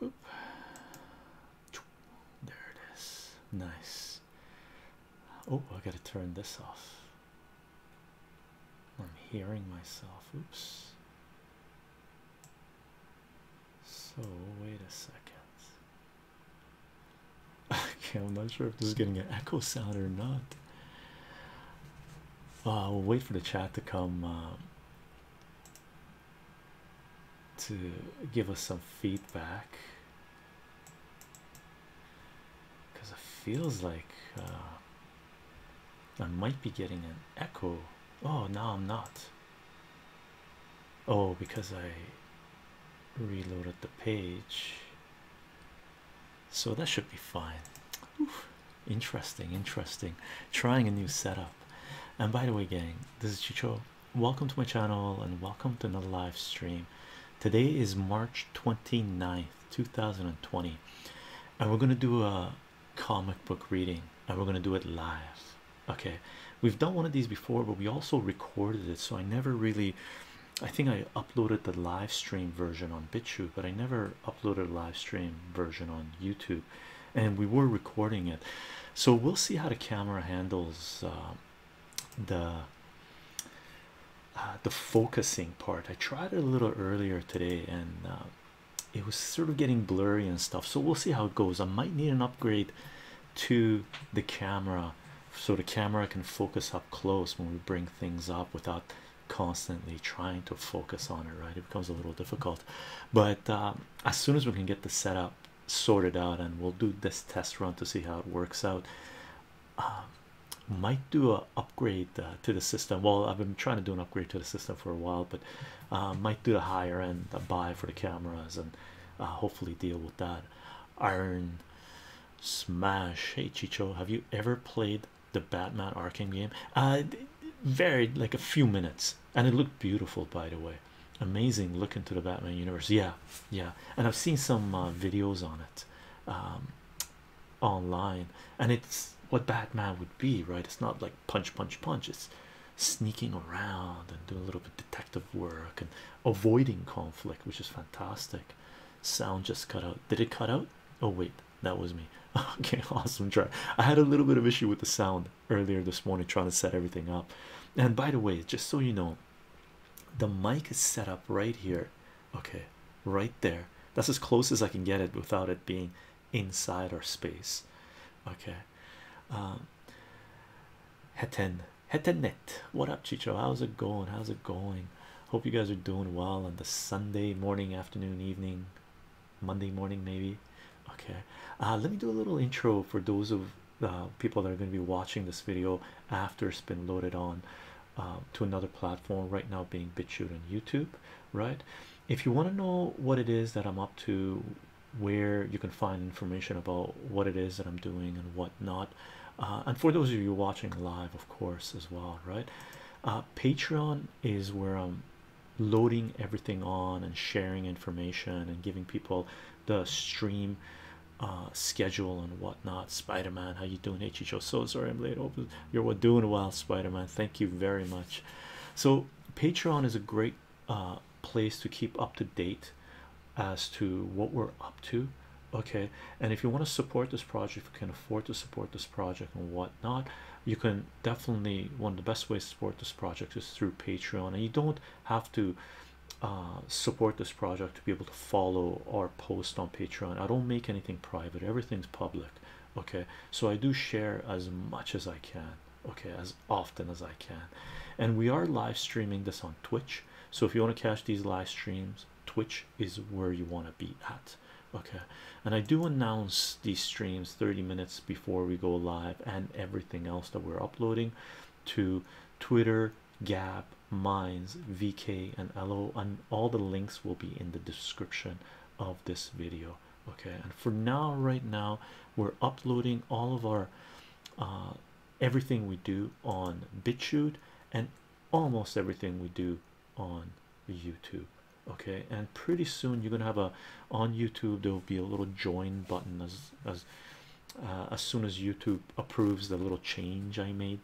There it is. Nice. Oh, I gotta turn this off. I'm hearing myself. Oops. So, wait a second. Okay, I'm not sure if this is getting an echo sound or not. i uh, will wait for the chat to come. Uh, to give us some feedback because it feels like uh, I might be getting an echo. Oh, no, I'm not. Oh, because I reloaded the page, so that should be fine. Interesting, interesting. Trying a new setup. And by the way, gang, this is Chicho. Welcome to my channel and welcome to another live stream. Today is March 29th, 2020, and we're gonna do a comic book reading and we're gonna do it live. Okay, we've done one of these before, but we also recorded it, so I never really I think I uploaded the live stream version on BitChute, but I never uploaded a live stream version on YouTube and we were recording it so we'll see how the camera handles um, the uh, the focusing part i tried it a little earlier today and um, it was sort of getting blurry and stuff so we'll see how it goes i might need an upgrade to the camera so the camera can focus up close when we bring things up without constantly trying to focus on it right it becomes a little difficult but uh, um, as soon as we can get the setup sorted out and we'll do this test run to see how it works out um, might do an upgrade uh, to the system well I've been trying to do an upgrade to the system for a while but uh, might do a higher end buy for the cameras and uh, hopefully deal with that iron smash hey Chicho have you ever played the Batman Arkham game uh varied like a few minutes and it looked beautiful by the way amazing look into the batman universe yeah yeah and i've seen some uh, videos on it um, online and it's what batman would be right it's not like punch punch punch it's sneaking around and doing a little bit detective work and avoiding conflict which is fantastic sound just cut out did it cut out oh wait that was me okay awesome try i had a little bit of issue with the sound earlier this morning trying to set everything up. And by the way, just so you know, the mic is set up right here, okay, right there. That's as close as I can get it without it being inside our space, okay. Um, Heten, Hetenet, what up, Chicho? How's it going? How's it going? Hope you guys are doing well on the Sunday morning, afternoon, evening, Monday morning, maybe. Okay, uh, let me do a little intro for those of uh, people that are going to be watching this video after it's been loaded on um, to another platform. Right now, being BitChute on YouTube. Right, if you want to know what it is that I'm up to, where you can find information about what it is that I'm doing and whatnot, uh, and for those of you watching live, of course, as well. Right, uh, Patreon is where I'm loading everything on and sharing information and giving people the stream uh, schedule and whatnot. Spider-Man, how you doing? H.H.O. So sorry I'm late. Open. You're doing well, Spider-Man. Thank you very much. So Patreon is a great uh, place to keep up to date as to what we're up to. Okay, and if you want to support this project, if you can afford to support this project and whatnot, you can definitely one of the best ways to support this project is through Patreon, and you don't have to uh, support this project to be able to follow our post on Patreon. I don't make anything private, everything's public, okay? So I do share as much as I can, okay, as often as I can, and we are live streaming this on Twitch. So if you want to catch these live streams, Twitch is where you want to be at okay and i do announce these streams 30 minutes before before we go live and everything else that we're uploading to Twitter, Gab, Minds, VK, and LO, and all the links will be in the description of this video. Okay, and for now, right now, we're uploading all of our uh, everything we do on BitChute and almost everything we do on YouTube. Okay, and pretty soon you're gonna have a on YouTube there will be a little join button as as uh, as soon as YouTube approves the little change I made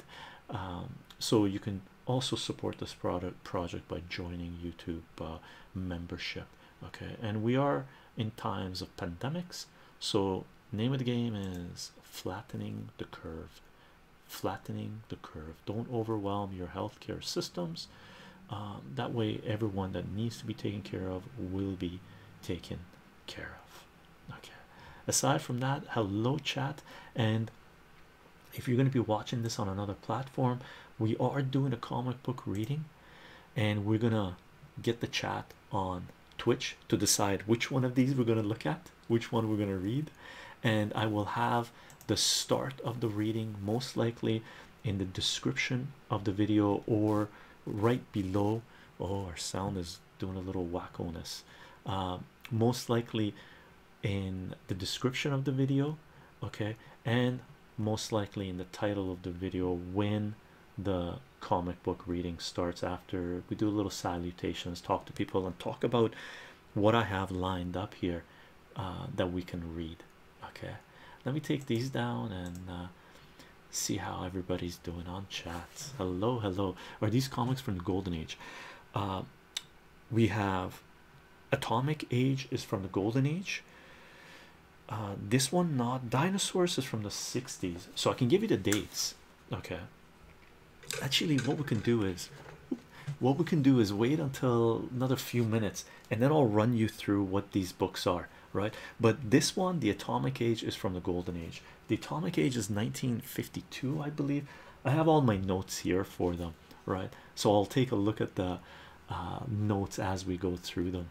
um, so you can also support this product project by joining YouTube uh, membership okay and we are in times of pandemics so name of the game is flattening the curve flattening the curve don't overwhelm your healthcare systems um, that way everyone that needs to be taken care of will be taken care of okay aside from that hello chat and if you're going to be watching this on another platform we are doing a comic book reading and we're gonna get the chat on twitch to decide which one of these we're going to look at which one we're going to read and i will have the start of the reading most likely in the description of the video or right below oh our sound is doing a little wackoness uh, most likely in the description of the video okay and most likely in the title of the video when the comic book reading starts after we do a little salutations talk to people and talk about what i have lined up here uh, that we can read Okay, let me take these down and uh, see how everybody's doing on chat. Hello, hello. Are these comics from the Golden Age? Uh, we have Atomic Age is from the Golden Age. Uh, this one not dinosaurs is from the 60s, so I can give you the dates. Okay, actually, what we can do is what we can do is wait until another few minutes and then I'll run you through what these books are right? But this one, the atomic age, is from the golden age. The atomic age is 1952, I believe. I have all my notes here for them, right? So I'll take a look at the uh, notes as we go through them.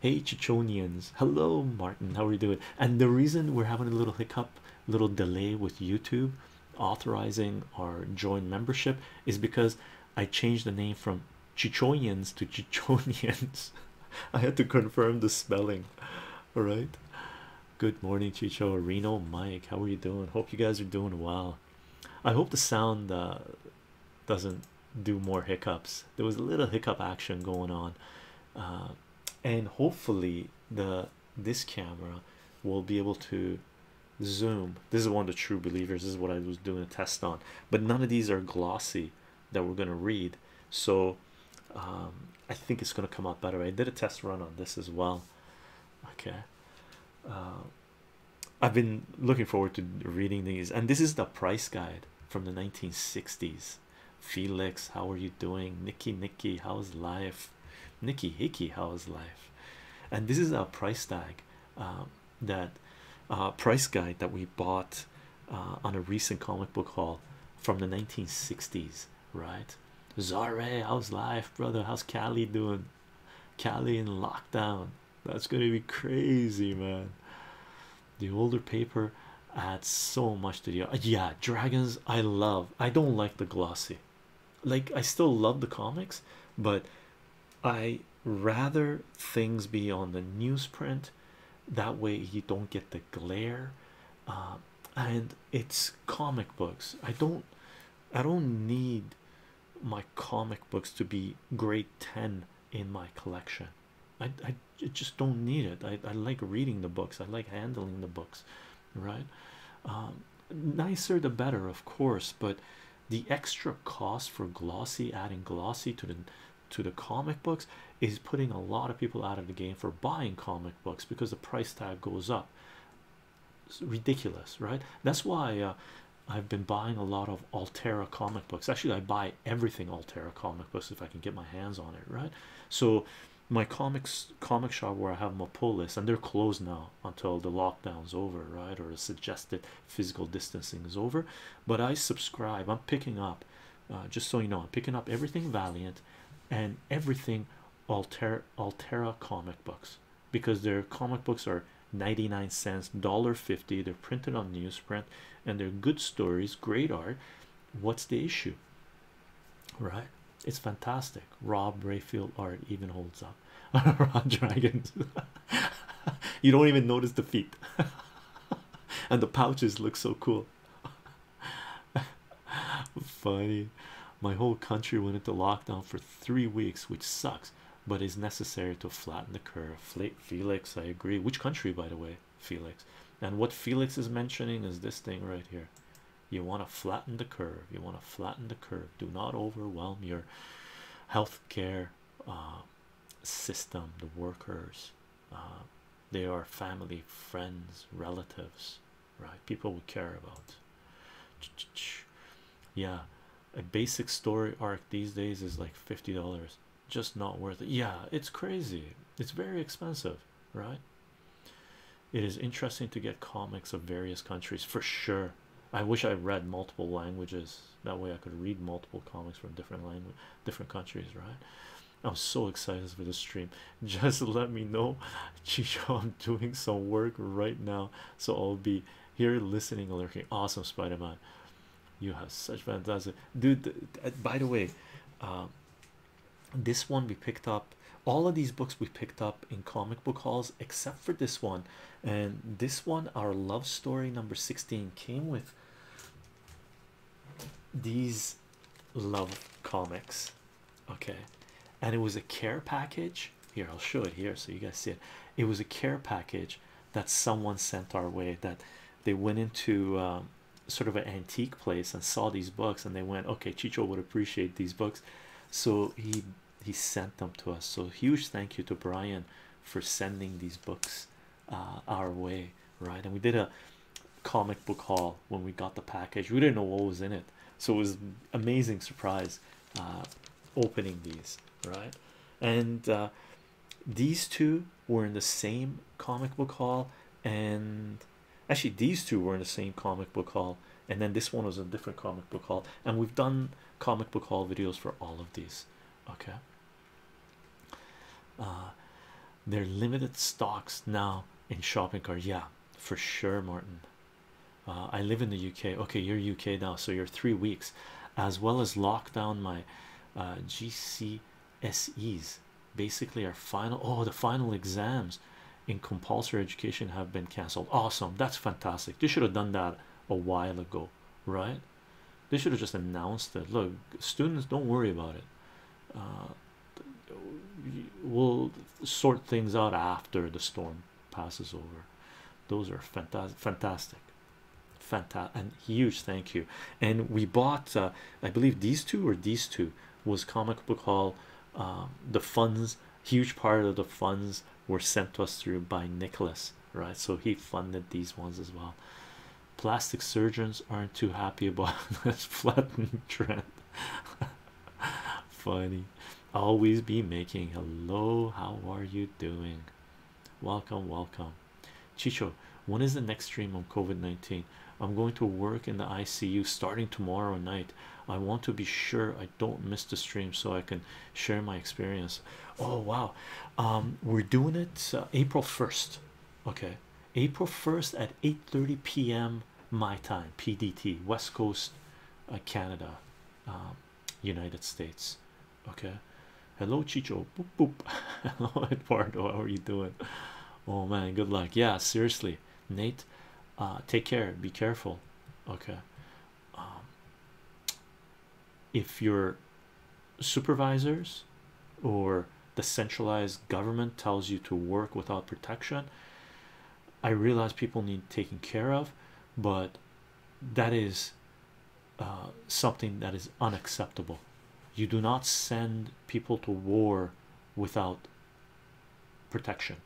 Hey, Chichonians, hello, Martin, how are you doing? And the reason we're having a little hiccup, little delay with YouTube authorizing our join membership is because I changed the name from Chichonians to Chichonians. I had to confirm the spelling. All right. Good morning, Chichorino Mike. How are you doing? Hope you guys are doing well. I hope the sound uh, doesn't do more hiccups. There was a little hiccup action going on, uh, and hopefully the this camera will be able to zoom. This is one of the true believers. This is what I was doing a test on, but none of these are glossy that we're going to read so um, I think it's going to come out better I did a test run on this as well okay um, I've been looking forward to reading these and this is the price guide from the 1960s Felix how are you doing Nikki Nikki how's life Nikki Hickey how's life and this is our price tag um, that uh, price guide that we bought uh, on a recent comic book haul from the 1960s, right? Zare, how's life, brother? How's Cali doing? Cali in lockdown. That's gonna be crazy, man. The older paper adds so much to the yeah. Dragons, I love. I don't like the glossy. Like I still love the comics, but I rather things be on the newsprint that way you don't get the glare uh, and it's comic books i don't i don't need my comic books to be grade 10 in my collection i, I just don't need it I, I like reading the books i like handling the books right um, nicer the better of course but the extra cost for glossy adding glossy to the to the comic books is putting a lot of people out of the game for buying comic books because the price tag goes up. It's ridiculous, right? That's why uh, I've been buying a lot of Altera comic books. Actually, I buy everything Altera comic books if I can get my hands on it, right? So, my comics comic shop where I have my pull list, and they're closed now until the lockdown's over, right? Or suggested physical distancing is over but i subscribe i'm picking up uh, just so you know i'm picking up everything valiant and everything altera altera comic books because their comic books are 99 cents dollar 50 they're printed on newsprint and they're good stories great art what's the issue right it's fantastic rob rayfield art even holds up dragon you don't even notice the feet and the pouches look so cool. Funny, my whole country went into lockdown for three weeks, which sucks, but is necessary to flatten the curve. Felix, I agree. Which country, by the way, Felix? And what Felix is mentioning is this thing right here. You want to flatten the curve. You want to flatten the curve. Do not overwhelm your healthcare uh, system, the workers, uh, they are family, friends, relatives, right? People we care about. Yeah, a basic story arc these days is like fifty dollars, just not worth it. Yeah, it's crazy, it's very expensive, right? It is interesting to get comics of various countries for sure. I wish I read multiple languages that way I could read multiple comics from different languages different countries, right? I'm so excited for the stream. Just let me know, Chicho. I'm doing some work right now, so I'll be here listening, looking. Awesome, Spider Man. You have such fantastic dude. Uh, by the way, um, this one we picked up. All of these books we picked up in comic book halls, except for this one. And this one, our love story number 16, came with these love comics okay and it was a care package here i'll show it here so you guys see it it was a care package that someone sent our way that they went into um, sort of an antique place and saw these books and they went okay chicho would appreciate these books so he he sent them to us so huge thank you to brian for sending these books uh, our way, right? And we did a comic book haul when we got the package. We didn't know what was in it, so it was amazing surprise uh, opening these, right? And uh, these two were in the same comic book haul, and actually these two were in the same comic book haul, and then this one was in a different comic book haul. And we've done comic book haul videos for all of these, okay. Uh, they're limited stocks now in shopping cart. Yeah, for sure, Martin. Uh, I live in the UK. Okay, you're UK now, so you're three weeks, as well as lock down my uh, GCSEs. Basically, our final oh, the final exams in compulsory education have been cancelled. Awesome, that's fantastic. You should have done that a while ago right? They should have just announced that. Look, students, don't worry about it. Uh, we'll sort things out after the storm passes over. Those are fantastic, fantastic, fantastic, and huge thank you. And we bought, uh, I believe, these two or these two was comic book haul. Um, the funds, huge part of the funds were sent to us through by Nicholas, right? So he funded these ones as well. Plastic surgeons aren't too happy about this flattened trend. Funny, always be making hello. How are you doing? Welcome, welcome, Chicho. When is the next stream on COVID 19? I'm going to work in the ICU starting tomorrow night. I want to be sure I don't miss the stream so I can share my experience. Oh, wow! Um, we're doing it uh, April 1st okay april 1st at 8 30 p.m my time pdt west coast uh, canada um, united states okay hello chicho boop, boop. hello eduardo how are you doing oh man good luck yeah seriously nate uh, take care be careful okay um, if you're supervisors or the centralized government tells you to work without protection. I realize people need taken care of, but that is uh, something that is unacceptable. You do not send people to war without protection,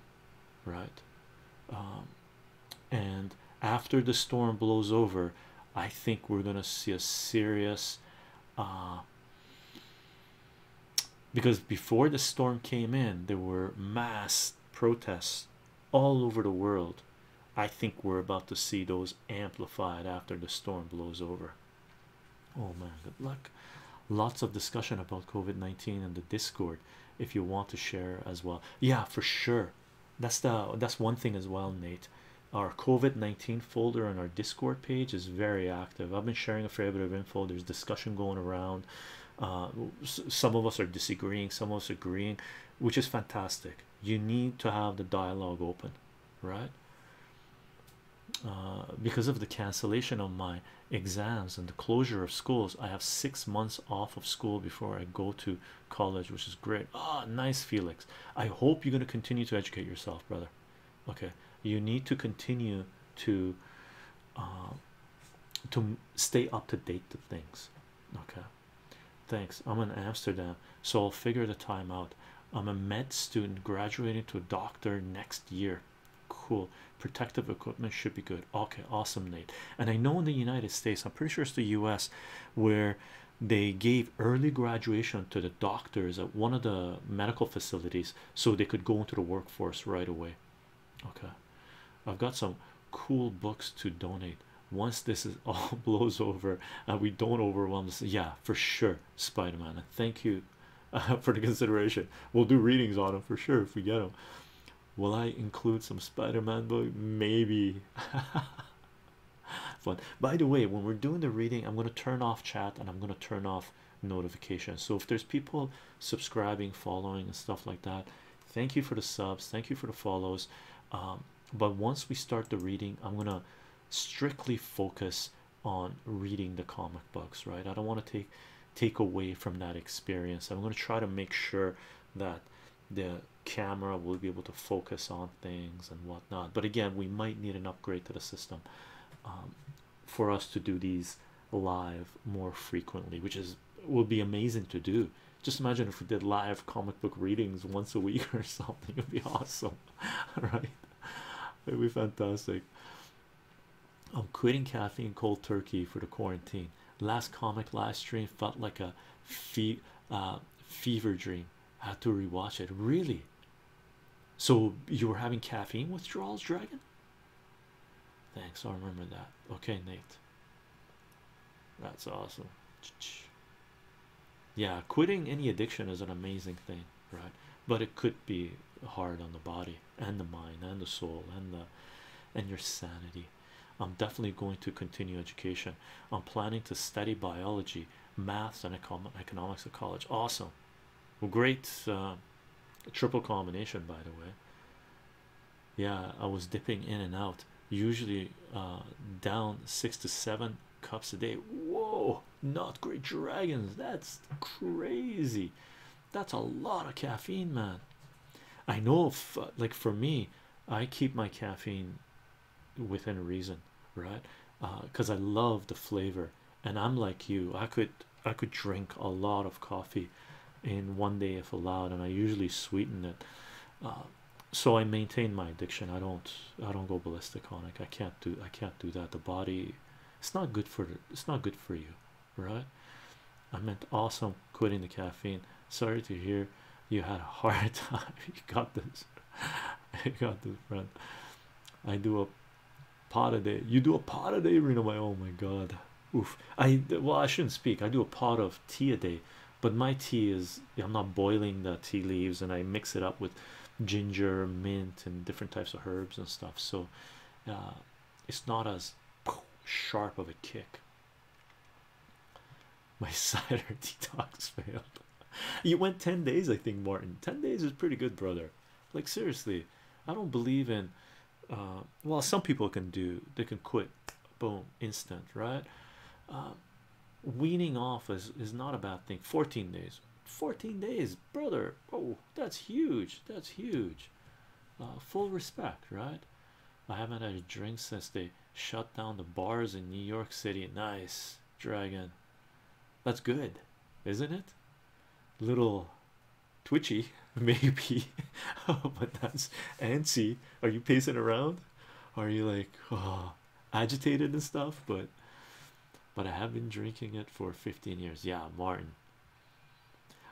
right? Um, and after the storm blows over, I think we're gonna see a serious uh, because before the storm came in, there were mass protests all over the world. I think we're about to see those amplified after the storm blows over. Oh man, good luck! Lots of discussion about COVID 19 and the Discord if you want to share as well. Yeah, for sure. That's the that's one thing as well, Nate our COVID-19 folder on our discord page is very active I've been sharing a fair bit of info there's discussion going around uh, some of us are disagreeing some of us agreeing which is fantastic you need to have the dialogue open right uh, because of the cancellation of my exams and the closure of schools I have six months off of school before I go to college which is great ah nice Felix. I hope you're going to continue to educate yourself, brother. Okay, you need to continue to um, to stay up to date to things. Okay, thanks. I'm in Amsterdam, so I'll figure the time out. I'm a med student graduating to a doctor next year. Cool. Protective equipment should be good. Okay, awesome, Nate. And I know in the United States, I'm pretty sure it's the U.S. where they gave early graduation to the doctors at one of the medical facilities so they could go into the workforce right away okay i've got some cool books to donate once this all blows over and we don't overwhelm yeah for sure spider-man thank you for the consideration we'll do readings on them for sure if we get them will i include some spider-man book maybe But by the way, when we're doing the reading, I'm going to turn off chat and I'm going to turn off notifications. So if there's people subscribing, following, and stuff like that, thank you for the subs, thank you for the follows. Um, but once we start the reading, I'm going to strictly focus on reading the comic books, right? I don't want to take take away from that experience. I'm going to try to make sure that the camera will be able to focus on things and whatnot. But again, we might need an upgrade to the system um, for us to do these live more frequently, which is will be amazing to do. Just imagine if we did live comic book readings once a week or something, it'd be awesome, right? It'd be fantastic. I'm um, quitting caffeine cold turkey for the quarantine. Last comic live stream felt like a uh, fever dream. Had to rewatch it. Really, so you were having caffeine withdrawals, Dragon? Thanks, I remember that. Okay, Nate. That's awesome. Yeah, quitting any addiction is an amazing thing, right? But it could be hard on the body and the mind and the soul and the and your sanity. I'm definitely going to continue education. I'm planning to study biology maths and economics at college awesome great uh, triple combination by the way yeah i was dipping in and out usually uh, down six to seven cups a day whoa not great dragons that's crazy that's a lot of caffeine man i know like for me i keep my caffeine within reason right because uh, i love the flavor and i'm like you i could i could drink a lot of coffee in one day if allowed and i usually sweeten it uh, so i maintain my addiction i don't i don't go ballistic on it i can't do i can't do that the body it's not good for it's not good for you right i meant awesome quitting the caffeine sorry to hear you had a hard time you got this you got this friend I do a pot a day. You do a pot a day, know My oh my god, oof. I well, I shouldn't speak. I do a pot of tea a day, but my tea is I'm not boiling the tea leaves and I mix it up with ginger, mint, and different types of herbs and stuff. So uh, it's not as sharp of a kick. My cider detox failed. you went 10 days, I think, Martin. 10 days is pretty good, brother. Like, seriously, I don't believe in uh, well, some people can do they can quit boom instant, right? Uh, weaning off is, is not a bad thing. 14 days, 14 days, brother. Oh, that's huge! That's huge. Uh, full respect, right? I haven't had a drink since they shut down the bars in New York City. Nice, dragon. That's good, isn't it? Little twitchy, maybe, but that's antsy. Are you pacing around? Are you like oh, agitated and stuff? But but I have been drinking it for 15 years. Yeah, Martin.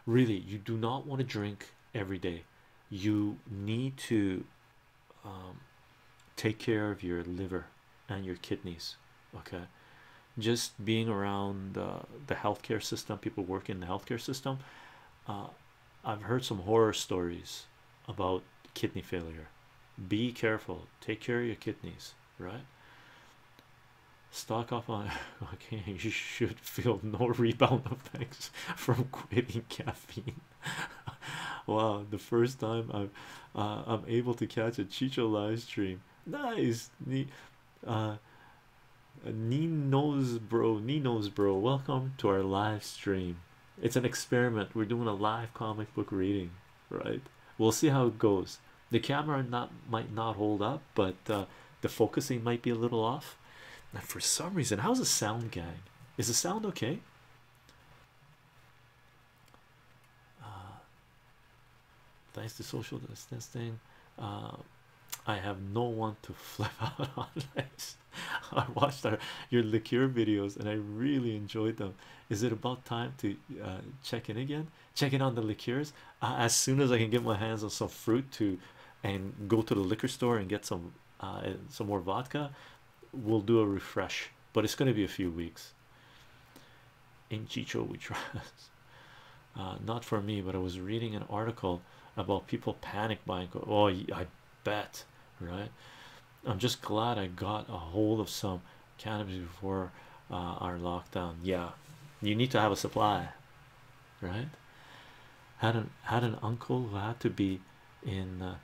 Really, you do not want to drink every day. You need to um, take care of your liver and your kidneys okay just being around the healthcare system people work in the healthcare system uh, I've heard some horror stories about kidney failure be careful take care of your kidneys right stock up on okay you should feel no rebound effects from quitting caffeine wow the first time I've uh, I'm able to catch a Chicho live stream. Nice, ne uh, uh Nino's bro, Nino's bro. Welcome to our live stream. It's an experiment. We're doing a live comic book reading, right? We'll see how it goes. The camera not might not hold up, but uh, the focusing might be a little off. And for some reason, how's the sound, gang? Is the sound okay? Uh, thanks to social distancing um, I have no one to flip out on I watched your liqueur videos and I really enjoyed them. Is it about time to uh, check in again? Check in on the liqueurs uh, as soon as I can get my hands on some fruit to and go to the liquor store and get some some more vodka. We'll do a refresh, but it's going to be a few weeks. In Chicho, we trust. Uh, not for me, but I was reading an article about people panic buying. Oh, I bet, right? I'm just glad I got a hold of some cannabis before uh, our lockdown. Yeah, you need to have a supply, right? Had an had an uncle who had to be in uh,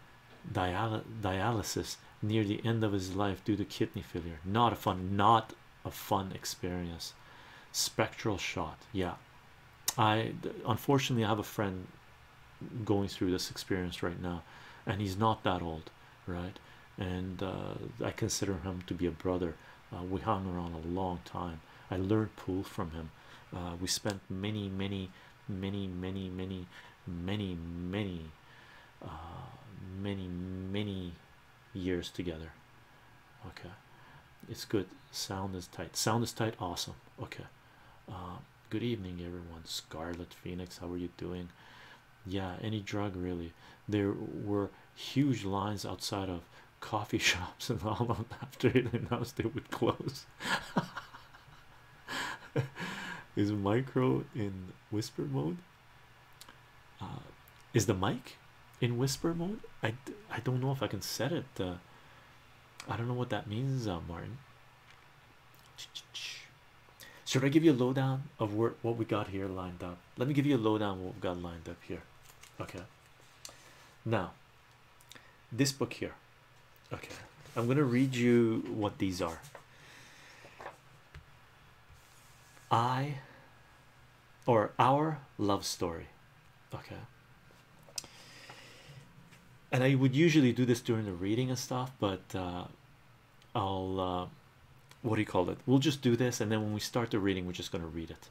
dialysis near the end of his life due to kidney failure. Not a fun, not a fun experience. Spectral shot, yeah. I unfortunately I have a friend going through this experience right now, and he's not that old, right? And uh, I consider him to be a brother. Uh, we hung around a long time. I learned pool from him. Uh, we spent many, many, many, many, many many, many, uh, many, many years together. Okay, it's good. Sound is tight. Sound is tight. Awesome. Okay. Uh, good evening, everyone. Scarlet Phoenix, how are you doing? Yeah, any drug really. There were huge lines outside of coffee shops and all after it announced they would close. Is micro in whisper mode? Uh, is the mic in whisper mode? I, I don't know if I can set it. Uh, I don't know what that means, uh, Martin. Should I give you a lowdown of what we got here lined up? Let me give you a lowdown what we've got lined up here. Okay. Now, this book here. Okay. I'm going to read you what these are. I or our love story. Okay. And I would usually do this during the reading and stuff, but uh, I'll uh, what do you call it? We'll just do this, and then when we start the reading, we're just going to read it.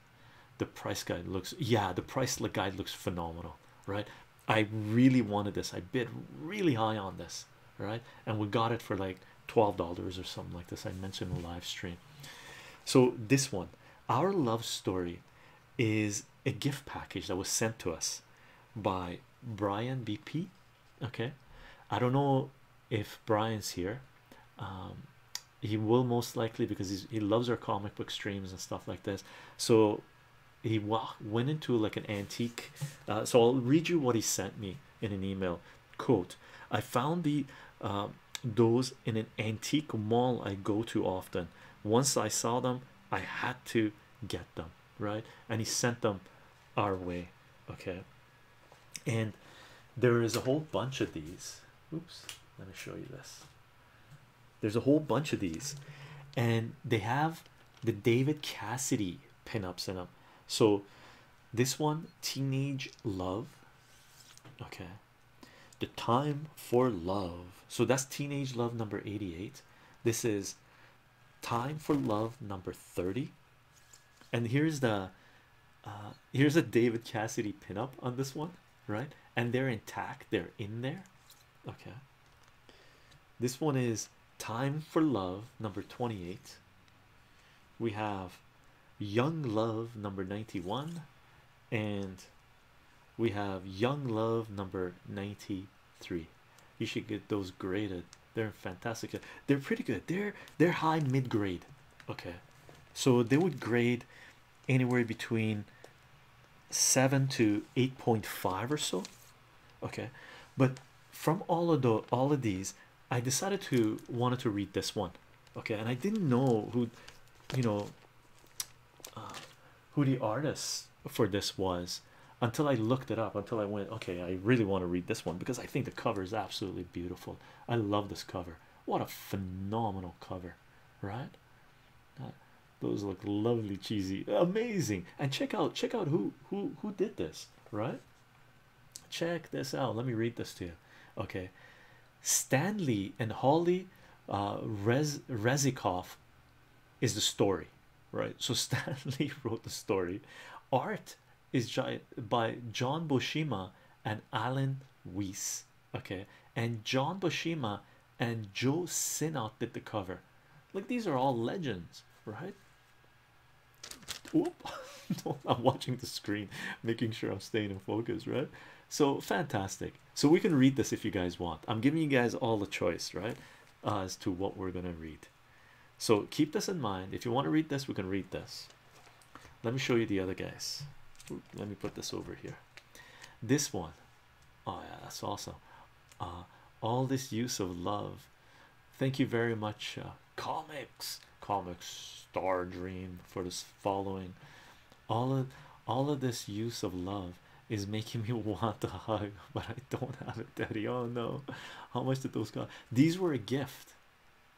The price guide looks, yeah, the price guide looks phenomenal, right? I really wanted this, I bid really high on this right and we got it for like twelve dollars or something like this I mentioned in the live stream so this one our love story is a gift package that was sent to us by Brian BP okay I don't know if Brian's here um, he will most likely because he's, he loves our comic book streams and stuff like this so he went into like an antique uh, so I'll read you what he sent me in an email Quote, I found the uh, those in an antique mall I go to often. Once I saw them, I had to get them, right? And he sent them our way, okay? And there is a whole bunch of these. Oops, let me show you this. There's a whole bunch of these, and they have the David Cassidy pinups in up, So this one, teenage love. Okay. The time for love. So that's teenage love number 88. This is time for love number 30. And here's the uh, here's a David Cassidy pinup on this one, right? And they're intact, they're in there. Okay. This one is Time for Love, number 28. We have Young Love, number 91. And we have Young Love, number 93. You should get those graded. They're fantastic. They're pretty good. They're they're high mid grade. Okay. So they would grade anywhere between 7 to 8.5 or so. Okay. But from all of the all of these I decided to wanted to read this one, okay, and I didn't know who, you know, uh, who the artist for this was until I looked it up. Until I went, okay, I really want to read this one because I think the cover is absolutely beautiful. I love this cover. What a phenomenal cover, right? those look lovely, cheesy, amazing. And check out, check out who who who did this, right? Check this out. Let me read this to you. Okay, Stanley and Holly uh, is the story, right? So Stanley wrote the story. Art is by John Boshima and Alan Weiss. Okay, and John Boshima and Joe Sinnott did the cover. Like these are all legends, right? I'm watching the screen, making sure I'm staying in focus, right? So fantastic. So we can read this if you guys want. I'm giving you guys all the choice, right? as to what we're gonna read. So keep this in mind. If you want to read this, we can read this. Let me show you the other guys. let me put this over here. This one. Oh yeah, that's awesome. Uh, all this use of love. Thank you very much uh, comics comics, star dream for this following all of all of this use of love is making me want to hug but i don't have it daddy oh no how much did those cost these were a gift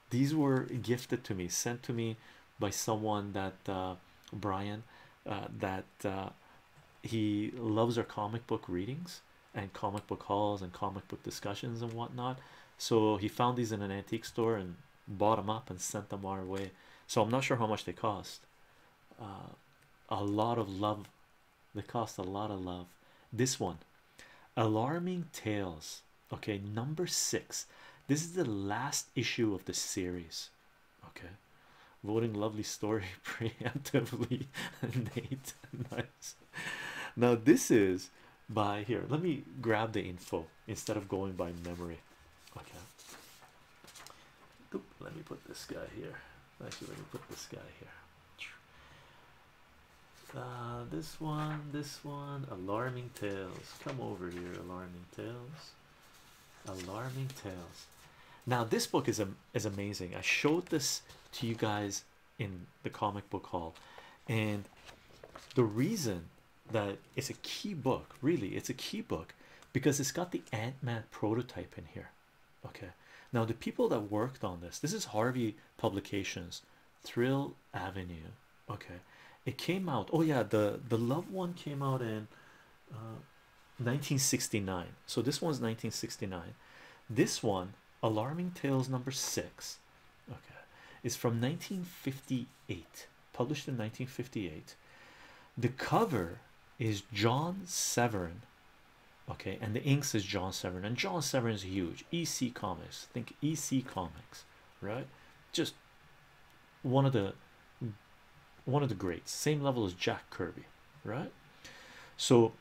these were gifted to me sent to me by someone that uh brian uh that uh he loves our comic book readings and comic book hauls and comic book discussions and whatnot. So he found these in an antique store and bought them up and sent them our way. So I'm not sure how much they cost. Uh, a lot of love, they cost a lot of love. This one, Alarming Tales, okay, number six. This is the last issue of the series, okay. Voting lovely story preemptively, Nate. Nice. Now, this is by here. Let me grab the info instead of going by memory. Okay. let me put this guy here. Actually, let me put this guy here. Uh, this one, this one, alarming tales. Come over here, alarming tales. Alarming tales. Now, this book is a is amazing. I showed this to you guys in the comic book hall and the reason that it's a key book really it's a key book because it's got the ant-man prototype in here okay now the people that worked on this this is harvey publications thrill avenue okay it came out oh yeah the the loved one came out in 1969 uh, so this one's 1969 this one alarming tales number six okay it's from 1958 published in 1958 the cover is John Severin okay and the inks is John Severin and John Severin is huge EC Comics think EC Comics right just one of the one of the greats same level as Jack Kirby right so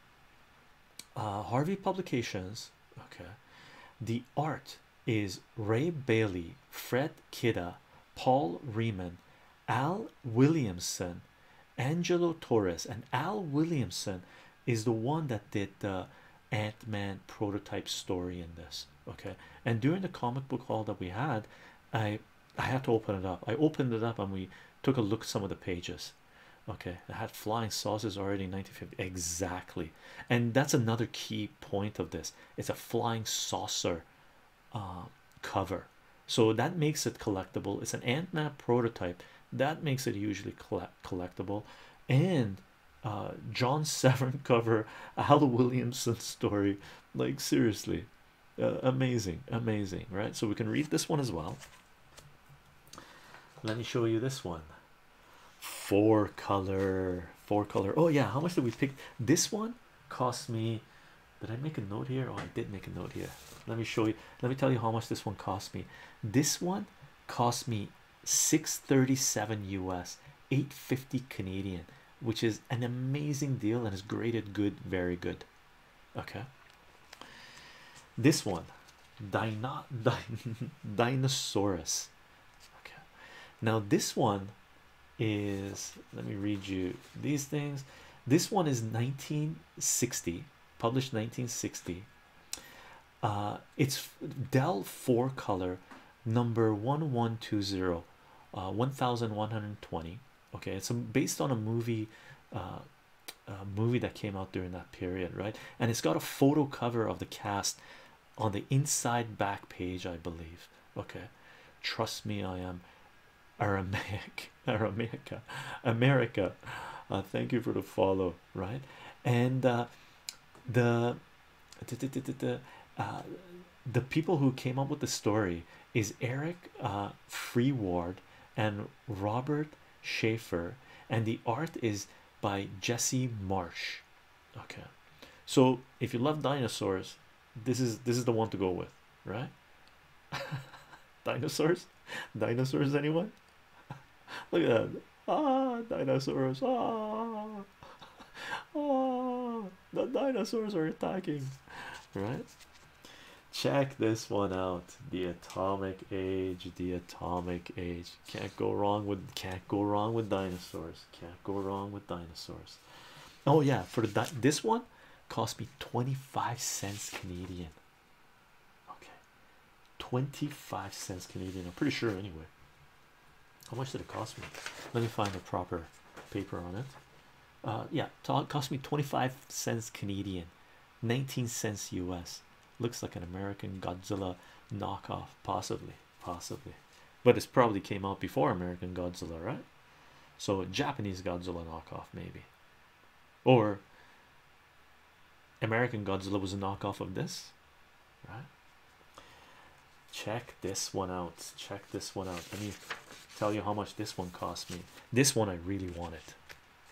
uh, Harvey Publications. Okay, the art is Ray Bailey, Fred Kidda, Paul Riemann, Al Williamson, Angelo Torres, and Al Williamson is the one that did the Ant-Man prototype story in this. Okay, and during the comic book haul that we had, I I had to open it up. I opened it up and we took a look at some of the pages okay they had flying saucers already in 1950 exactly and that's another key point of this it's a flying saucer uh, cover so that makes it collectible it's an ant-man prototype that makes it usually collect collectible and uh, John Severn cover Al Williamson story like seriously uh, amazing amazing right so we can read this one as well let me show you this one four color four color oh yeah how much did we pick this one cost me did I make a note here oh I did make a note here let me show you let me tell you how much this one cost me this one cost me 637 US 850 Canadian which is an amazing deal and is graded good very good okay this one Dino Din Dinosaurus okay now this one is let me read you these things this one is 1960 published 1960 uh, it's Dell 4 color number 1120 uh, 1120 okay it's based on a movie uh, movie that came out during that period, right? And it's got a photo cover of the cast on the inside back page, I believe. Okay, trust me, I am Aramaic, Aramaica, America. Uh, thank you for the follow, right? And uh, the uh, the people who came up with the story is Eric Free Ward and Robert Schaefer, and the art is by Jesse Marsh. Okay, so if you love dinosaurs, this is this is the one to go with, right? dinosaurs, dinosaurs, anyone? Look at that. Ah, dinosaurs. Ah, ah, the dinosaurs are attacking, right? Check this one out the atomic age, the atomic age. Can't go wrong with can't go wrong with dinosaurs. Can't go wrong with dinosaurs. Oh yeah, for the this one cost me 25 cents Canadian. Okay. 25 cents Canadian. I'm pretty sure anyway. How much did it cost me? Let me find the proper paper on it. Uh yeah, cost me 25 cents Canadian, 19 cents US. Looks like an American Godzilla knockoff, possibly, possibly, but it's probably came out before American Godzilla, right? So Japanese Godzilla knockoff, maybe, or American Godzilla was a knockoff of this, right? Check this one out. Check this one out. Let me tell you how much this one cost me. This one I really wanted,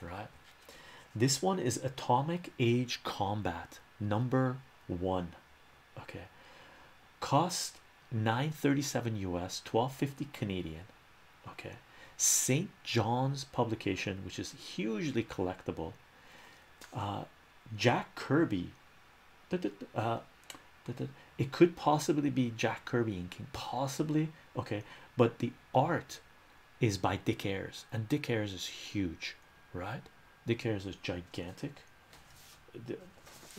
right? This one is Atomic Age Combat number one okay cost 937 us 1250 canadian okay st john's publication which is hugely collectible uh jack kirby uh, it could possibly be jack kirby inking possibly okay but the art is by dick ayers and dick ayers is huge right Dick Harris is gigantic.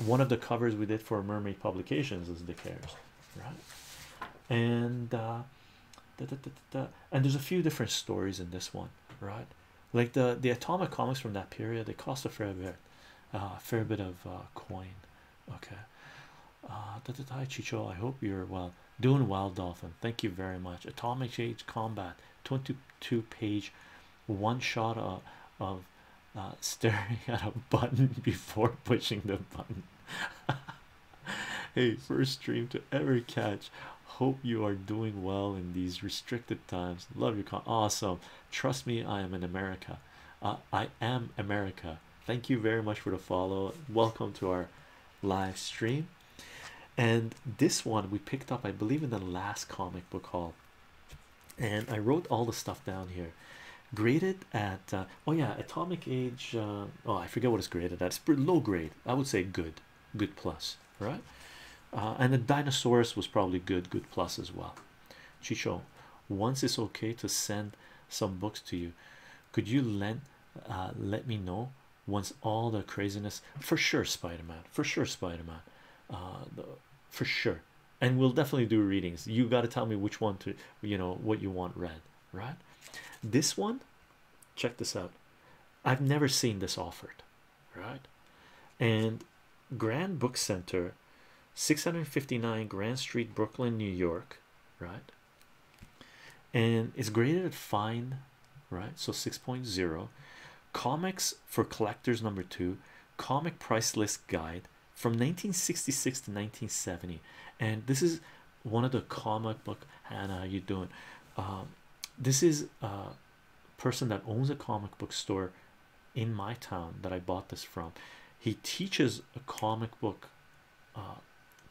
one of the covers we did for Mermaid Publications is Dick Harris, right? And uh, and there's a few different stories in this one, right? Like the the atomic comics from that period, they cost a fair bit, uh, a fair bit of uh, coin. Okay. Uh, Chicho, I hope you're well, doing well, Dolphin. Thank you very much. Atomic Age Combat 22 page one shot uh, of, of uh, staring at a button before pushing the button. hey, first stream to ever catch. Hope you are doing well in these restricted times. Love your con. Awesome. Trust me, I am in America. Uh, I am America. Thank you very much for the follow. Welcome to our live stream and this one we picked up, I believe, in the last comic book haul. And I wrote all the stuff down here, graded at uh, oh, yeah, atomic age. Uh, oh, I forget what it's graded at, it's low grade, I would say good, good plus, right? Uh, and the dinosaurs was probably good, good plus as well. Chicho, once it's okay to send some books to you, could you lend let me know once all the craziness for sure spider-man for sure spider-man uh for sure and we'll definitely do readings you got to tell me which one to you know what you want read right this one check this out i've never seen this offered right and grand book center 659 grand street brooklyn new york right and it's graded at fine right? So 6.0 comics for collectors, number two comic price list guide from 1966 to 1970. And this is one of the comic book Hannah, how you doing? Um, this is a person that owns a comic book store in my town that I bought this from. He teaches a comic book uh,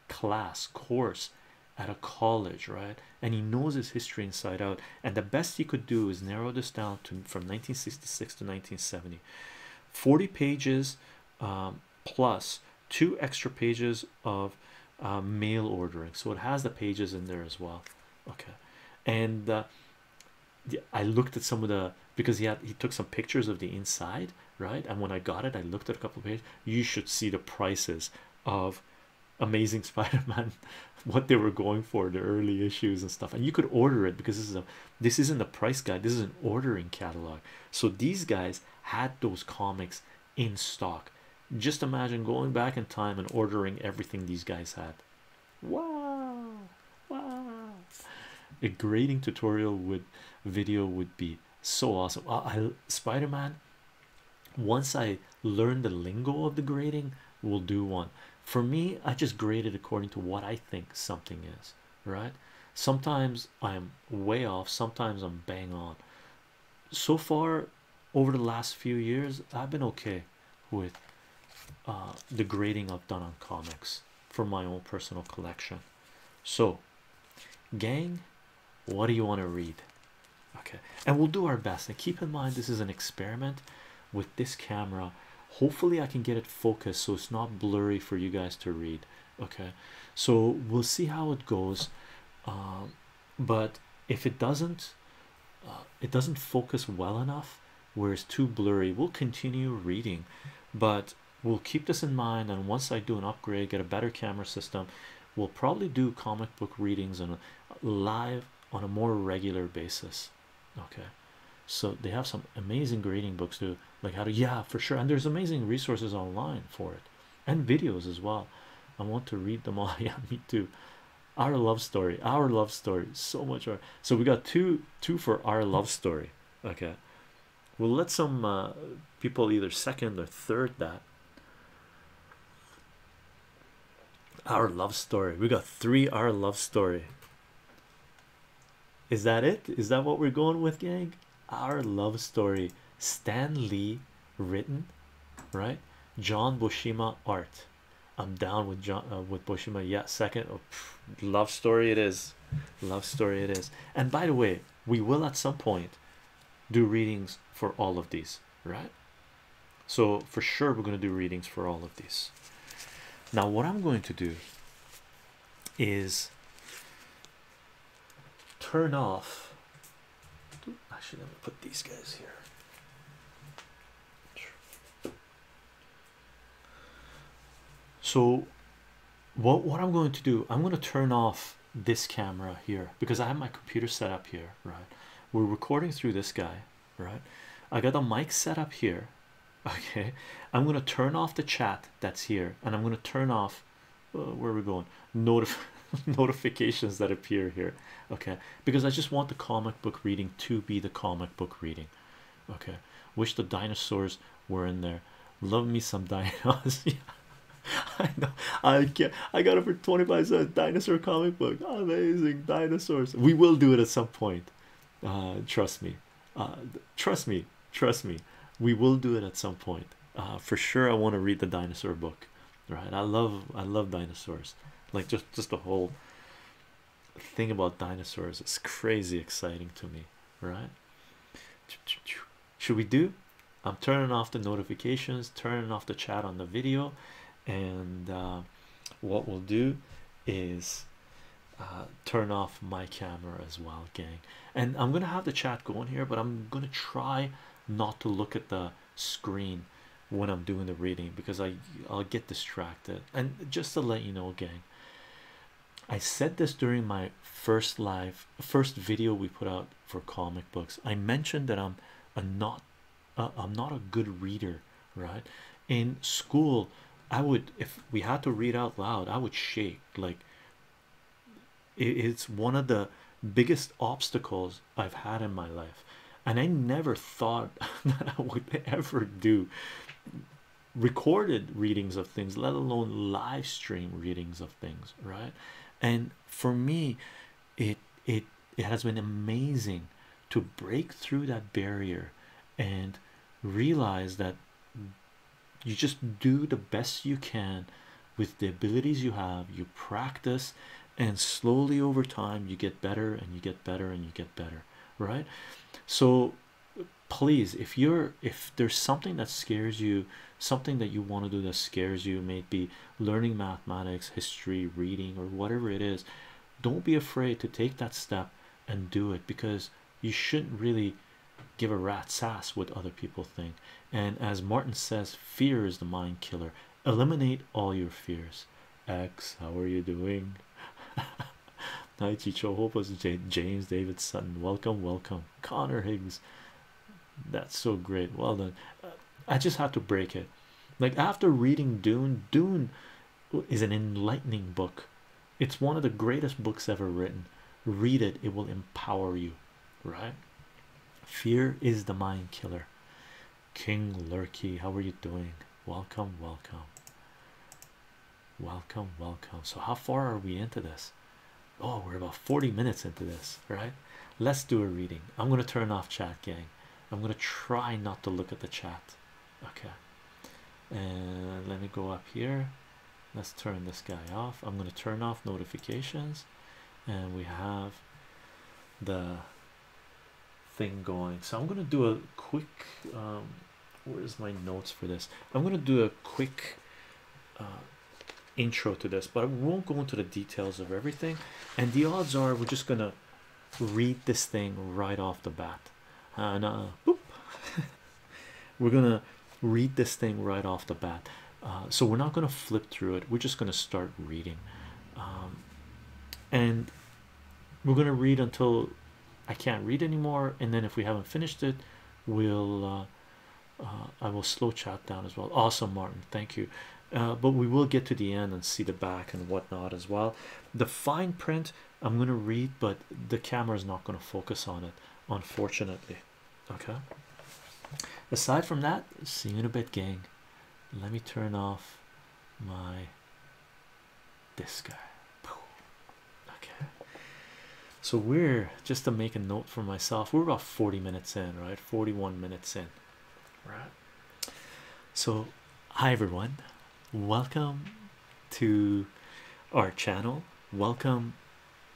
class course at a college, right? And he knows his history inside out. And the best he could do is narrow this down to from 1966 to 1970, 40 pages um, plus two extra pages of uh, mail ordering. So it has the pages in there as well. Okay, and uh, I looked at some of the because he had he took some pictures of the inside, right? And when I got it, I looked at a couple of pages. You should see the prices of Amazing Spider-Man, what they were going for, the early issues and stuff. And you could order it because this is a this isn't a price guide, this is an ordering catalog. So these guys had those comics in stock. Just imagine going back in time and ordering everything these guys had. Wow, wow. A grading tutorial with video would be so awesome. I Spider-Man once I learn the lingo of the grading, we'll do one. For me, I just grade it according to what I think something is, right? Sometimes I'm way off, sometimes I'm bang on. So far, over the last few years, I've been okay with uh, the grading I've done on comics for my own personal collection. So, gang, what do you want to read? okay and we'll do our best and keep in mind this is an experiment with this camera hopefully i can get it focused so it's not blurry for you guys to read okay so we'll see how it goes um, but if it doesn't uh, it doesn't focus well enough where it's too blurry we'll continue reading but we'll keep this in mind and once i do an upgrade get a better camera system we'll probably do comic book readings and live on a more regular basis. Okay, so they have some amazing grading books too, like how to yeah for sure, and there's amazing resources online for it and videos as well. I want to read them all. yeah, me too. Our love story, our love story, so much. Our, so we got two two for our love story. Okay, we'll let some uh, people either second or third that. Our love story. We got three our love story. Is that it? Is that what we're going with, gang? Our love story. Stan Lee written, right? John Bushima art. I'm down with John uh, with Bushima. Yeah, second oh, love story it is. Love story it is. And by the way, we will at some point do readings for all of these right? So, for sure, we're going to do readings for all of these. Now, what I'm going to do is turn off. I should me put these guys here. So what what I'm going to do, I'm going to turn off this camera here because I have my computer set up here, right? We're recording through this guy right i got the mic set up here okay i'm going to turn off the chat that's here and i'm going to turn off uh, where are we going notif notifications that appear here okay because i just want the comic book reading to be the comic book reading okay wish the dinosaurs were in there love me some dinosaurs i know i get i got it for 25 cents dinosaur comic book oh, amazing dinosaurs we will do it at some point uh, trust me uh, trust me trust me we will do it at some point uh, for sure i want to read the dinosaur book right i love i love dinosaurs like just just the whole thing about dinosaurs is crazy exciting to me right should we do i'm turning off the notifications turning off the chat on the video and uh, what we'll do is uh, turn off my camera as well, gang. And I'm gonna have the chat going here, but I'm gonna try not to look at the screen when I'm doing the reading because I I'll get distracted. And just to let you know, gang, I said this during my first live, first video we put out for comic books. I mentioned that I'm a not uh, I'm not a good reader, right? In school, I would, if we had to read out loud, I would shake. Like, it's one of the biggest obstacles I've had in my life, and I never thought that I would ever do recorded readings of things, let alone live stream readings of things, right? And for me, it it it has been amazing to break through that barrier and realize that you just do the best you can with the abilities you have you practice and slowly over time you get better and you get better and you get better right so please if you're if there's something that scares you something that you want to do that scares you may be learning mathematics history reading or whatever it is don't be afraid to take that step and do it because you shouldn't really give a rat's ass what other people think and as martin says fear is the mind killer eliminate all your fears x how are you doing hi chicho james david sutton welcome welcome connor higgs that's so great well done uh, I just had to break it. Like after reading Dune, Dune is an enlightening book. It's one of the greatest books ever written. Read it, it will empower you, right? Fear is the mind killer. King Lurky, how are you doing? Welcome, welcome. Welcome, welcome. So, how far are we into this? Oh, we're about 40 minutes into this, right? Let's do a reading. I'm going to turn off chat, gang. I'm gonna try not to look at the chat. Okay, and uh, let me go up here. Let's turn this guy off. I'm gonna turn off notifications, and we have the thing going. So I'm gonna do a quick. Um, where's my notes for this? I'm gonna do a quick. Uh, intro to this but I won't go into the details of everything and the odds are we're just gonna read this thing right off the bat uh, and we're gonna read this thing right off the bat uh, so we're not gonna flip through it we're just gonna start reading um, and we're gonna read until I can't read anymore and then if we haven't finished it we'll uh, I will slow chat down as well awesome Martin thank you uh, but we will get to the end and see the back and whatnot as well. The fine print I'm going to read, but the camera is not going to focus on it, unfortunately. Okay, aside from that, see you in a bit, gang. Let me turn off my this guy. Okay, so we're just to make a note for myself, we're about 40 minutes in, right? 41 minutes in right so hi everyone welcome to our channel welcome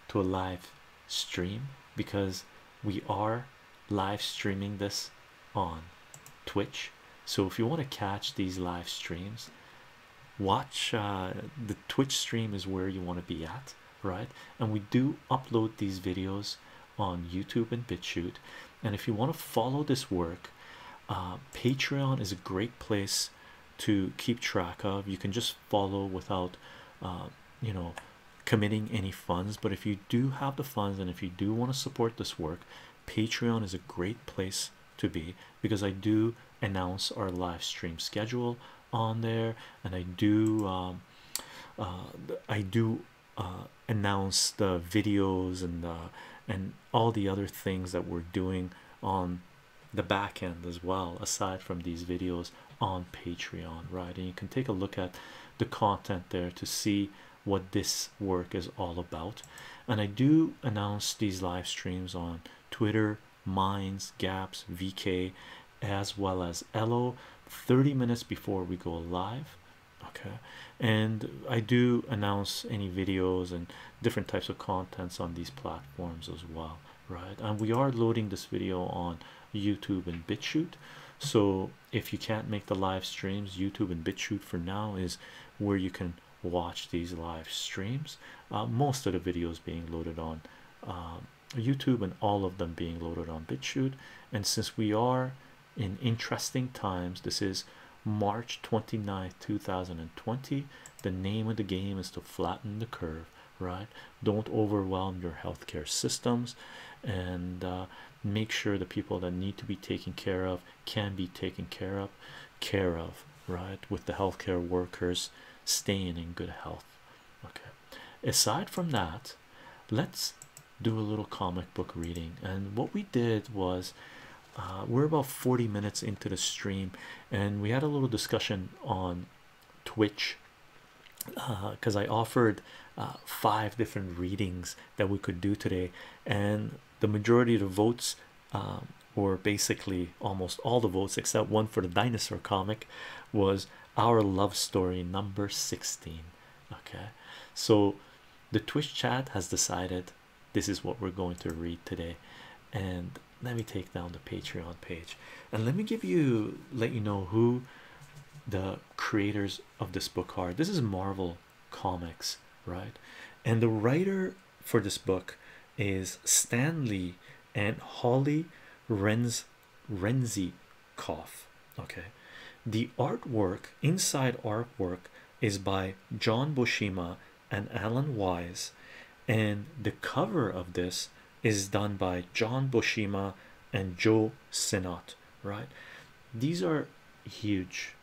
to a live stream because we are live streaming this on twitch so if you want to catch these live streams watch uh, the twitch stream is where you want to be at right and we do upload these videos on YouTube and BitChute. And if you want to follow this work, uh, Patreon is a great place to keep track of. You can just follow without, uh, you know, committing any funds. But if you do have the funds and if you do want to support this work, Patreon is a great place to be because I do announce our live stream schedule on there and I do. Um, uh, I do uh, announce the videos and and all the other things that we're doing on the back end as well aside from these videos on patreon right and you can take a look at the content there to see what this work is all about and i do announce these live streams on twitter minds gaps vk as well as elo 30 minutes before we go live okay and i do announce any videos and different types of contents on these platforms as well right and we are loading this video on youtube and bitchute so if you can't make the live streams youtube and bitchute for now is where you can watch these live streams uh, most of the videos being loaded on uh, youtube and all of them being loaded on bitchute and since we are in interesting times. This is March 29, 2020. The name of the game is to flatten the curve, right? Don't overwhelm your healthcare systems and uh, make sure the people that need to be taken care of can be taken care of, care of, right? With the healthcare workers staying in good health. Okay, aside from that, let's do a little comic book reading. And what we did was uh, we're about 40 minutes into the stream, and we had a little discussion on Twitch because uh, I offered uh, five different readings that we could do today, and the majority of the votes. Um, were basically almost all the votes except one for the dinosaur comic was our love story number 16 okay so the twitch chat has decided this is what we're going to read today and let me take down the patreon page and let me give you let you know who the creators of this book are this is marvel comics right and the writer for this book is stanley and holly renz renzi Koff. okay the artwork inside artwork is by John Boshima and Alan Wise, and the cover of this is done by John Boshima and Joe Sinnott. Right, these are huge,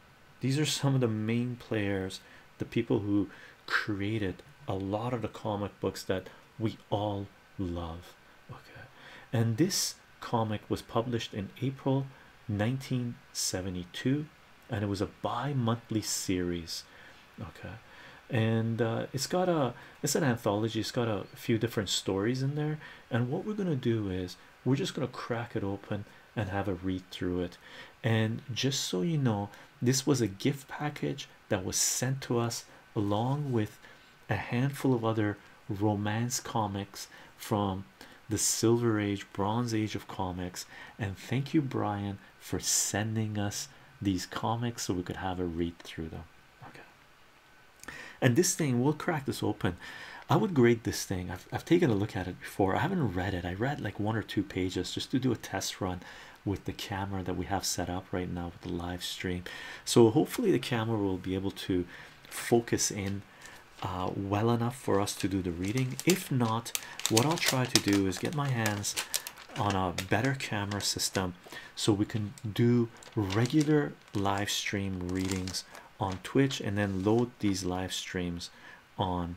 these are some of the main players, the people who created a lot of the comic books that we all love. Okay, and this comic was published in April 1972 and it was a bi-monthly series okay and uh, it's got a it's an anthology it's got a few different stories in there and what we're going to do is we're just going to crack it open and have a read through it and just so you know this was a gift package that was sent to us along with a handful of other romance comics from the Silver Age, Bronze Age of comics. And thank you, Brian, for sending us these comics so we could have a read through them. Okay. And this thing, we'll crack this open. I would grade this thing. I've, I've taken a look at it before. I haven't read it. I read like one or two pages just to do a test run with the camera that we have set up right now with the live stream. So hopefully the camera will be able to focus in uh, well enough for us to do the reading. If not, what I'll try to do is get my hands on a better camera system so we can do regular live stream readings on Twitch and then load these live streams on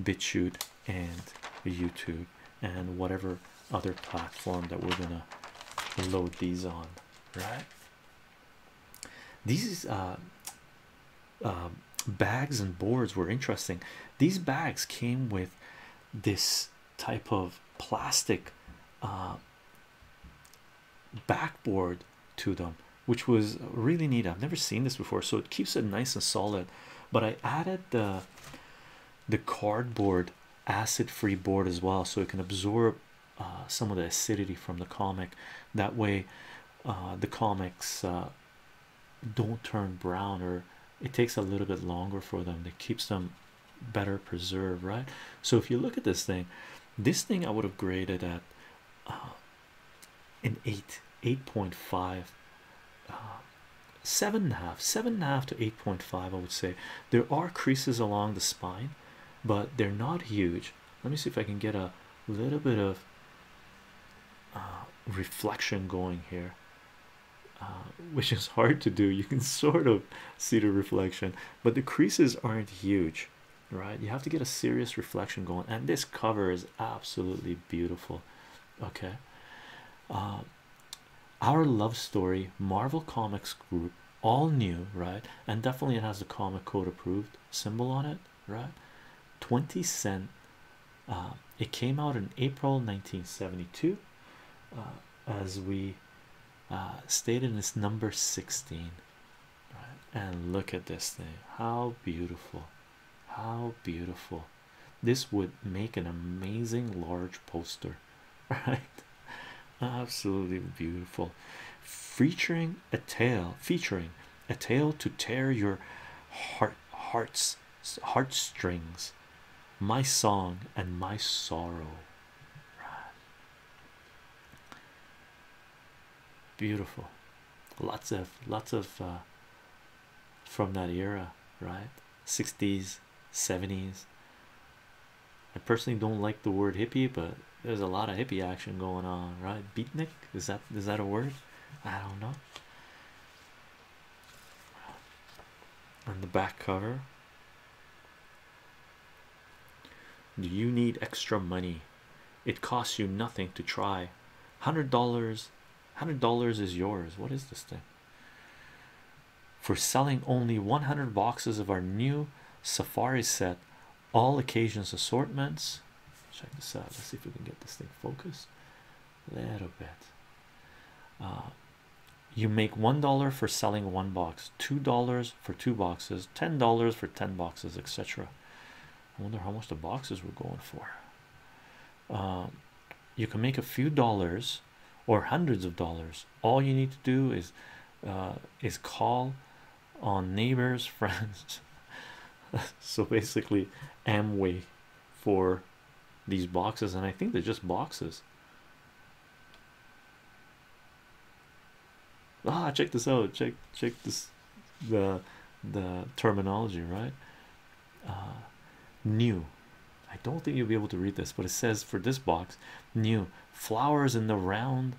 BitChute and YouTube and whatever other platform that we're gonna load these on, right? These uh, um, bags and boards were interesting. These bags came with this type of plastic uh, backboard to them, which was really neat. I've never seen this before, so it keeps it nice and solid. But I added the the cardboard acid-free board as well, so it can absorb uh, some of the acidity from the comic. That way, uh, the comics uh, don't turn brown or it takes a little bit longer for them that keeps them better preserved right so if you look at this thing this thing i would have graded at uh, an 8 8.5 uh, to 8.5 i would say there are creases along the spine but they're not huge let me see if I can get a little bit of uh, reflection going here, uh, which is hard to do. You can sort of see the reflection, but the creases aren't huge, right? You have to get a serious reflection going, and this cover is absolutely beautiful. Okay, uh, our love story, Marvel Comics Group, all new, right? And definitely it has the comic code approved symbol on it right 20 cent uh, it came out in april 1972 uh, as we uh, in this number 16 and look at this thing how beautiful how beautiful this would make an amazing large poster right absolutely beautiful featuring a tale featuring a tale to tear your heart hearts heartstrings my song and my sorrow beautiful lots of lots of uh, from that era right 60s 70s I personally don't like the word hippie but there's a lot of hippie action going on right beatnik is that is that a word I don't know. On the back cover, do you need extra money? It costs you nothing to try. Hundred dollars, hundred dollars is yours. What is this thing? For selling only 100 boxes of our new Safari set, all occasions assortments. Check this out. Let's see if we can get this thing focused a little bit. Uh, you make one dollar for selling one box, two dollars for two boxes, ten dollars for ten boxes, etc. I wonder how much the boxes were going for. Um, you can make a few dollars or hundreds of dollars. All you need to do is uh, is call on neighbors, friends. so basically, Amway for these boxes, and I think they're just boxes. Ah, check this out. Check check this the the terminology, right? Uh, new. I don't think you'll be able to read this, but it says for this box, new flowers in the round,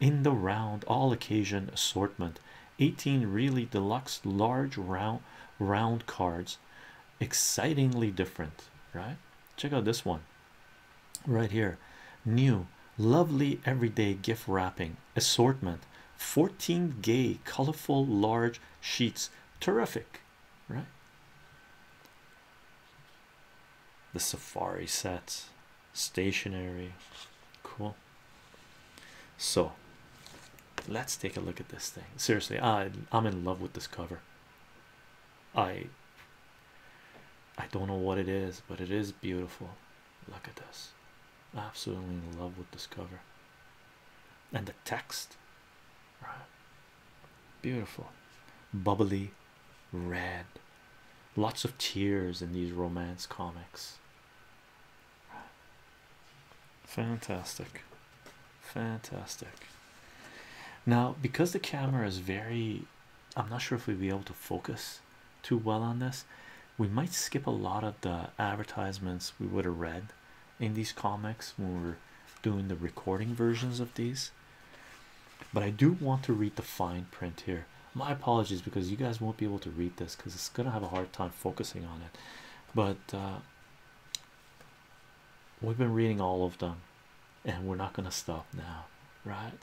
in the round all occasion assortment, 18 really deluxe large round round cards excitingly different right check out this one right here new lovely everyday gift wrapping assortment 14 gay colorful large sheets terrific right the safari sets stationary cool so let's take a look at this thing. Seriously, I am in love with this cover. I I don't know what it is, but it is beautiful. Look at this. Absolutely in love with this cover. And the text. Right. Beautiful. Bubbly red. Lots of tears in these romance comics. Fantastic, fantastic. Now, because the camera is very, I'm not sure if we'll be able to focus too well on this. We might skip a lot of the advertisements we would have read in these comics when we are doing the recording versions of these, but I do want to read the fine print here. My apologies because you guys won't be able to read this because it's gonna have a hard time focusing on it, but uh, we've been reading all of them, and we're not gonna stop now, right?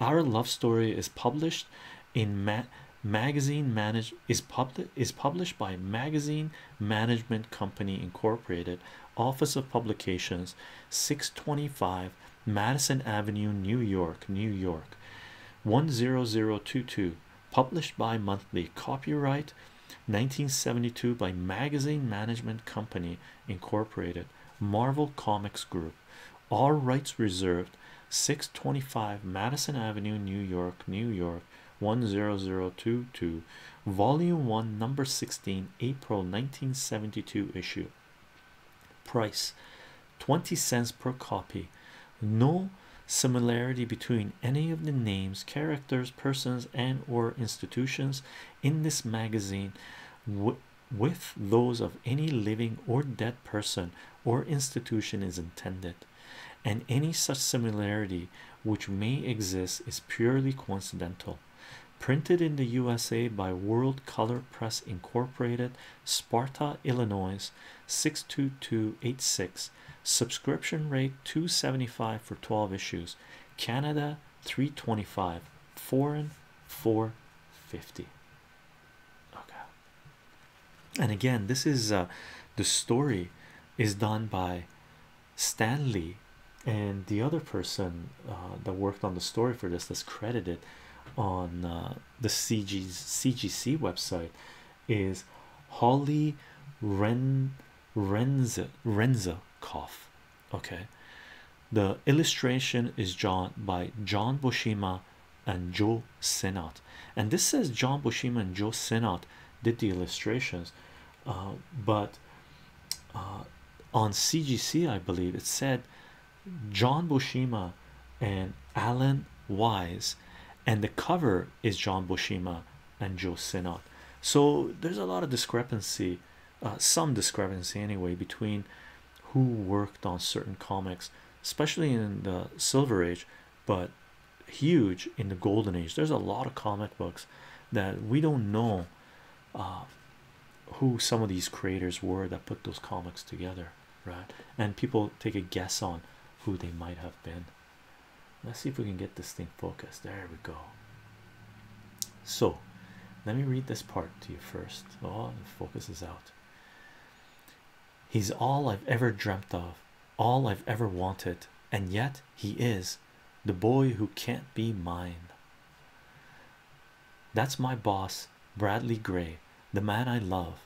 Our love story is published in magazine manage is public is published by Magazine Management Company Incorporated, Office of Publications, six twenty five. Madison Avenue, New York, New York 10022 published by monthly copyright 1972 by magazine management company incorporated marvel comics group all rights reserved 625 madison avenue new york new york 10022 volume 1 number 16 april 1972 issue price 20 cents per copy no similarity between any of the names characters persons and or institutions in this magazine with those of any living or dead person or institution is intended and any such similarity which may exist is purely coincidental printed in the usa by world color press incorporated Sparta, Illinois 62286 subscription rate 275 for 12 issues Canada 325 foreign 450 okay and again this is uh, the story is done by Stanley and the other person uh, that worked on the story for this is credited on uh, the CG's CGC website is Holly Ren Renza Renza Koff. Okay, the illustration is drawn by John Boshima and Joe Senat. and this says John Boshima and Joe Senat did the illustrations, uh, but uh, on CGC, I believe it said John Boshima and Alan Wise and the cover is John Boshima and Joe Sinnott. So there's a lot of discrepancy, uh, some discrepancy anyway, between who worked on certain comics, especially in the Silver Age, but huge in the Golden Age. There's a lot of comic books that we don't know uh, who some of these creators were that put those comics together right? And people take a guess on who they might have been. Let's see if we can get this thing focused. There we go. So, let me read this part to you first. Oh, the focus is out. He's all I've ever dreamt of, all I've ever wanted, and yet he is the boy who can't be mine. That's my boss, Bradley Gray, the man I love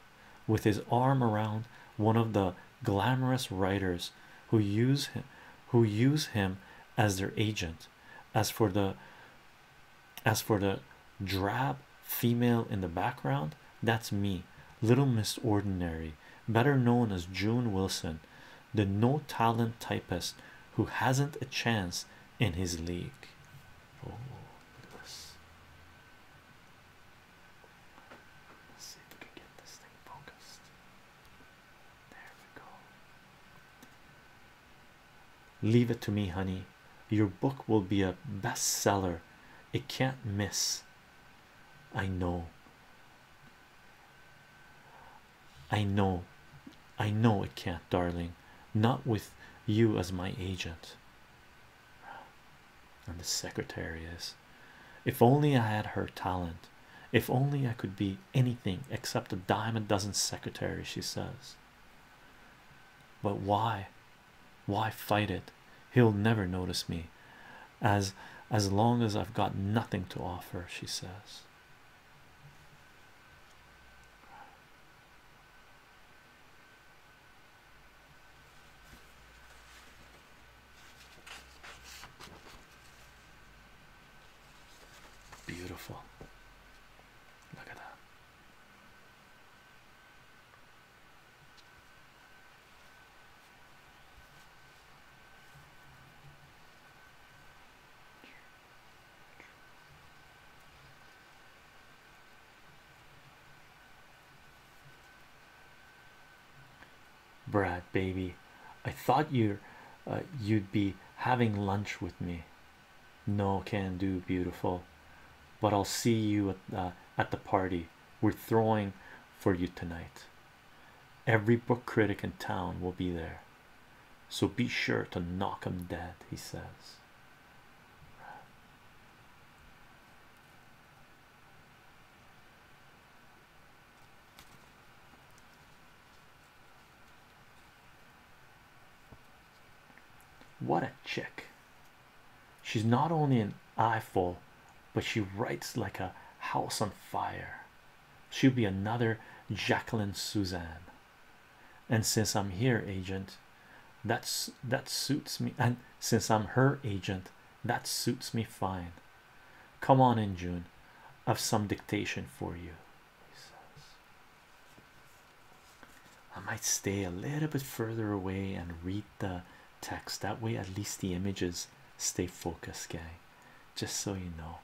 with his arm around one of the glamorous writers who use him who use him as their agent as for the as for the drab female in the background that's me little miss ordinary better known as june wilson the no talent typist who hasn't a chance in his league oh, Leave it to me, honey. Your book will be a bestseller. It can't miss. I know. I know. I know it can't, darling. Not with you as my agent. And the secretary is, if only I had her talent, if only I could be anything except a dime a dozen secretary, she says. But why? Why fight it? He'll never notice me as as long as I've got nothing to offer, she says. Beautiful. Look at that. Brad, baby, I thought you uh, you'd be having lunch with me. No, can do, beautiful. But I'll see you uh, at the party we're throwing for you tonight. Every book critic in town will be there, so be sure to knock 'em dead. He says. What a chick! She's not only an eyeful, but she writes like a house on fire. She'll be another Jacqueline Suzanne. And since I'm here, agent, that's that suits me. And since I'm her agent, that suits me fine. Come on in, June. I've some dictation for you. He says. I might stay a little bit further away and read the text. That way, at least the images stay focused, gang. Just so you know.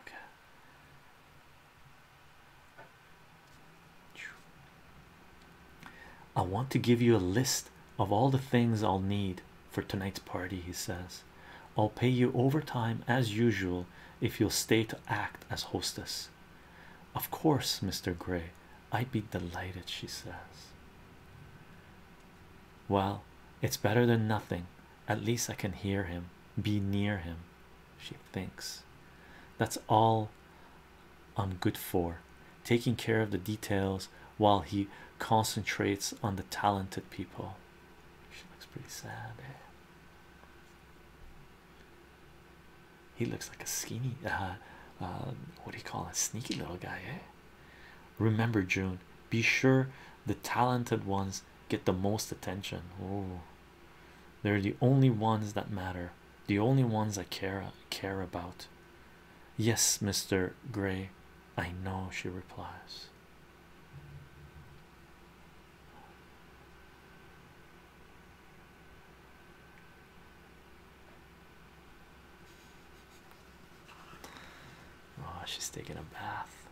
Okay. I want to give you a list of all the things I'll need for tonight's party, he says. I'll pay you overtime as usual if you'll stay to act as hostess. Of course, Mr. Gray, I'd be delighted, she says. Well, it's better than nothing. At least I can hear him, be near him, she thinks. That's all I'm good for taking care of the details while he concentrates on the talented people. She looks pretty sad. Eh? He looks like a skinny, uh, uh, what do you call a Sneaky little guy. Eh? Remember, June. Be sure the talented ones get the most attention. Oh, they're the only ones that matter. The only ones I care care about. Yes, Mr. Gray, I know, she replies. Oh, she's taking a bath.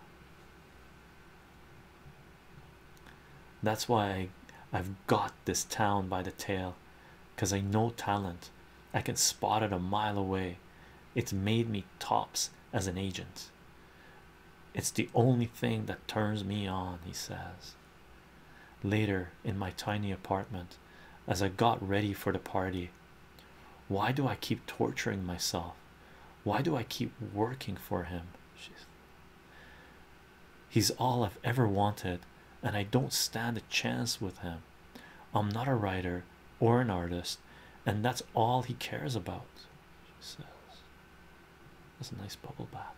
That's why I, have got this town by the tail because I know talent I can spot it a mile away. It's made me tops as an agent. It's the only thing that turns me on, he says. Later in my tiny apartment, as I got ready for the party, why do I keep torturing myself? Why do I keep working for him? She's He's all I've ever wanted, and I don't stand a chance with him. I'm not a writer or an artist, and that's all he cares about. She says, That's a nice bubble bath.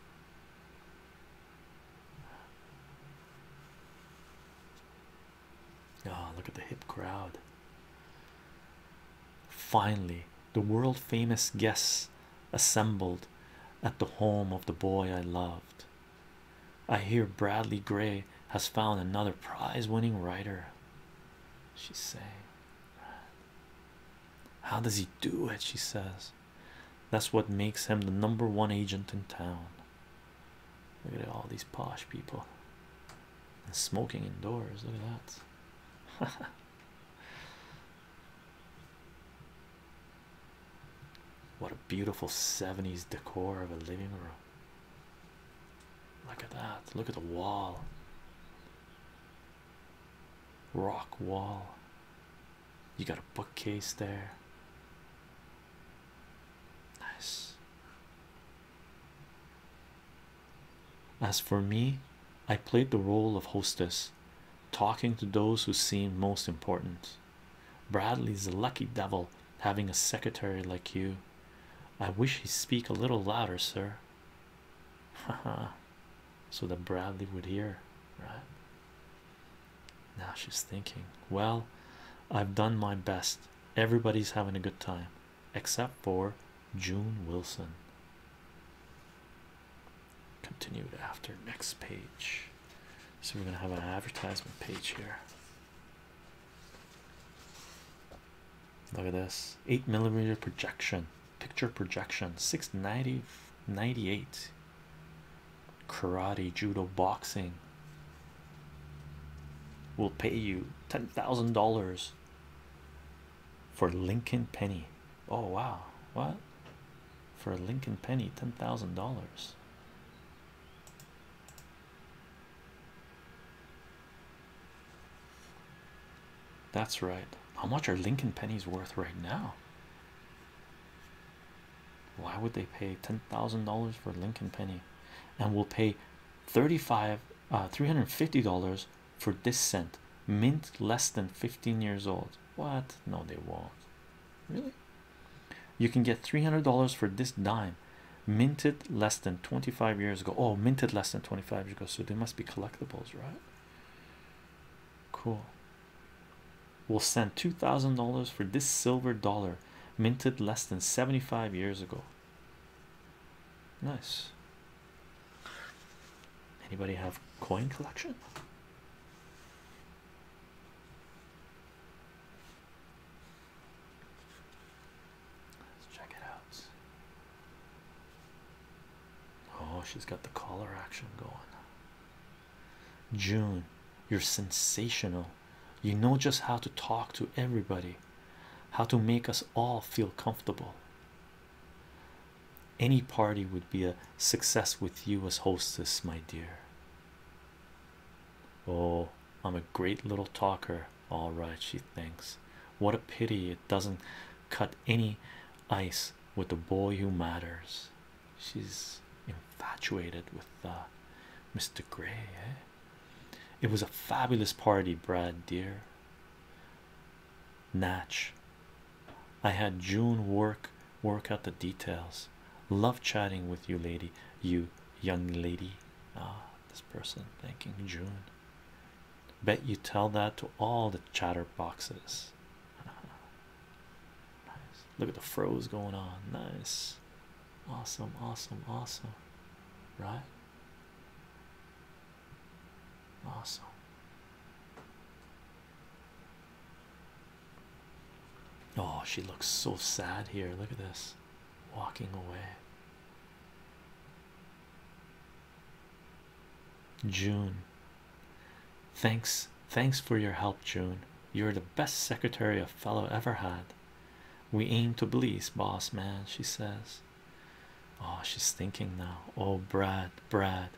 Oh, look at the hip crowd. Finally, the world famous guests assembled at the home of the boy I loved. I hear Bradley Gray has found another prize winning writer. She saying, How does he do it? She says, That's what makes him the number one agent in town. Look at all these posh people smoking indoors. Look at that. what a beautiful 70s decor of a living room. Look at that. Look at the wall. Rock wall. You got a bookcase there. Nice. As for me, I played the role of hostess, talking to those who seemed most important. Bradley's a lucky devil having a secretary like you. I wish he'd speak a little louder, sir. Haha, so that Bradley would hear, right? Now she's thinking, well, I've done my best. Everybody's having a good time, except for June Wilson. Continued after next page. So we're gonna have an advertisement page here. Look at this eight millimeter projection, picture projection, 690 karate, judo, boxing. Will pay you ten thousand dollars for Lincoln Penny. Oh, wow, what for a Lincoln Penny? Ten thousand dollars. That's right. How much are Lincoln pennies worth right now? Why would they pay ten thousand dollars for Lincoln penny? And we'll pay thirty-five, uh, three hundred fifty dollars for this cent mint less than 15 years old. What? No, they won't. Really? you can get $300 for this dime minted less than 25 years ago oh minted less than 25 years ago so they must be collectibles right cool we'll send $2,000 for this silver dollar minted less than 75 years ago nice anybody have coin collection Let's check it out. Oh, she's got the caller action going. June, you're sensational. You know just how to talk to everybody, how to make us all feel comfortable. Any party would be a success with you as hostess, my dear. Oh, I'm a great little talker, all right, she thinks. What a pity it doesn't cut any ice with the boy who matters. She's infatuated with uh, Mr. Gray. Eh? It was a fabulous party, Brad, dear. Natch. I had June work work out the details. Love chatting with you, lady. You young lady. Ah this person thanking June. Bet you tell that to all the chatterboxes. nice. Look at the froze going on. Nice. Awesome, awesome, awesome. Right? Awesome. Oh, she looks so sad here. Look at this walking away. June, thanks, thanks for your help, June. You're the best secretary a fellow ever had. We aim to please, boss man, she says. Oh, she's thinking now. Oh, Brad, Brad,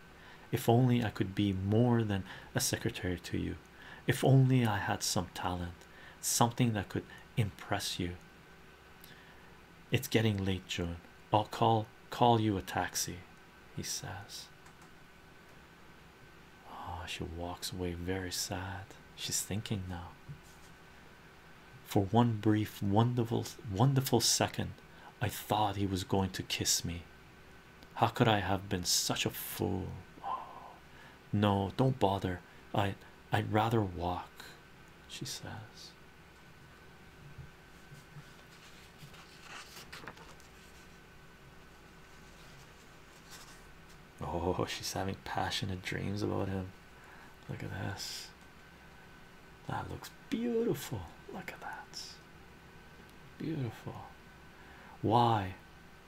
if only I could be more than a secretary to you. If only I had some talent, something that could impress you. It's getting late, Joan. I'll call call you a taxi, he says. Oh, she walks away very sad. She's thinking now. For one brief, wonderful, wonderful second, I thought he was going to kiss me. How could I have been such a fool? Oh, no, don't bother. I I'd rather walk, she says. Oh, she's having passionate dreams about him. Look at this. That looks beautiful. Look at that. Beautiful. Why?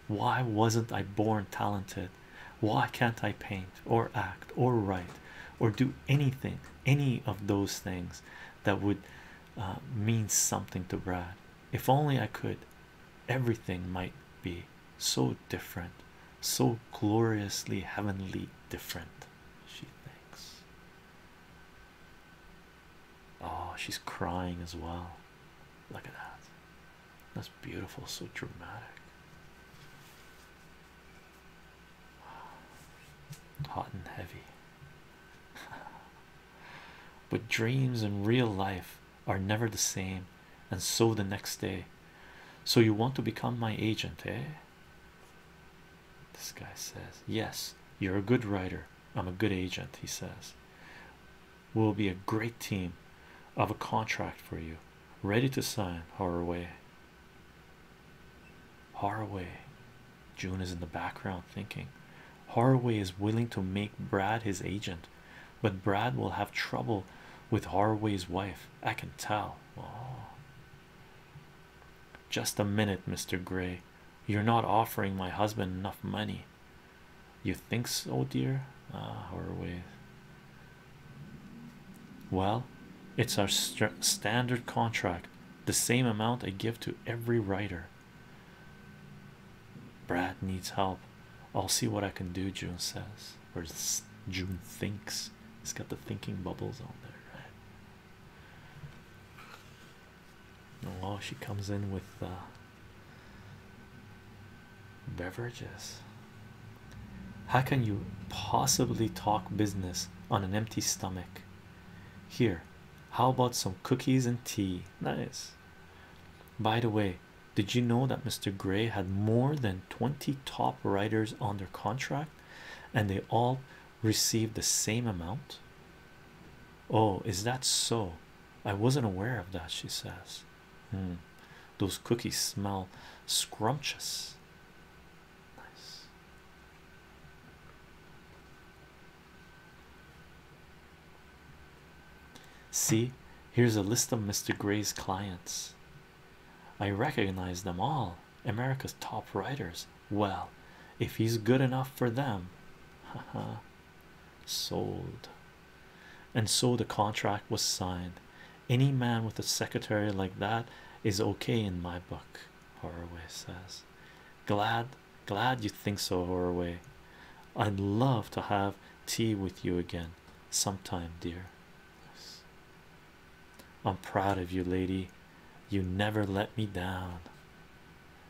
Why wasn't I born talented? Why can't I paint or act or write or do anything, any of those things that would uh, mean something to Brad? If only I could, everything might be so different, so gloriously heavenly different. She thinks. Oh, she's crying as well. Look at that. That's beautiful, so dramatic. Hot and heavy. but dreams and real life are never the same, and so the next day. So you want to become my agent, eh? This guy says, Yes, you're a good writer. I'm a good agent, he says we will be a great team of a contract for you ready to sign Haraway Haraway June is in the background thinking Haraway is willing to make Brad his agent but Brad will have trouble with Haraway's wife I can tell oh. just a minute Mr. Gray you're not offering my husband enough money you think so dear ah Haraway well, it's our standard contract, the same amount I give to every writer. Brad needs help. I'll see what I can do, June says, or June thinks. he has got the thinking bubbles on there, right? Oh, she comes in with uh, beverages. How can you possibly talk business on an empty stomach? Here, how about some cookies and tea? Nice. By the way, did you know that Mr. Gray had more than 20 top writers under contract and they all received the same amount? Oh, is that so? I wasn't aware of that, she says. Mm. Those cookies smell scrumptious. Nice. See, here's a list of Mr. Gray's clients. I recognize them all. America's top writers. Well, if he's good enough for them, ha ha. sold and so the contract was signed. Any man with a secretary like that is okay in my book, Horoway says. Glad, glad you think so, Horoway. I'd love to have tea with you again sometime, dear. I'm proud of you, lady. You never let me down.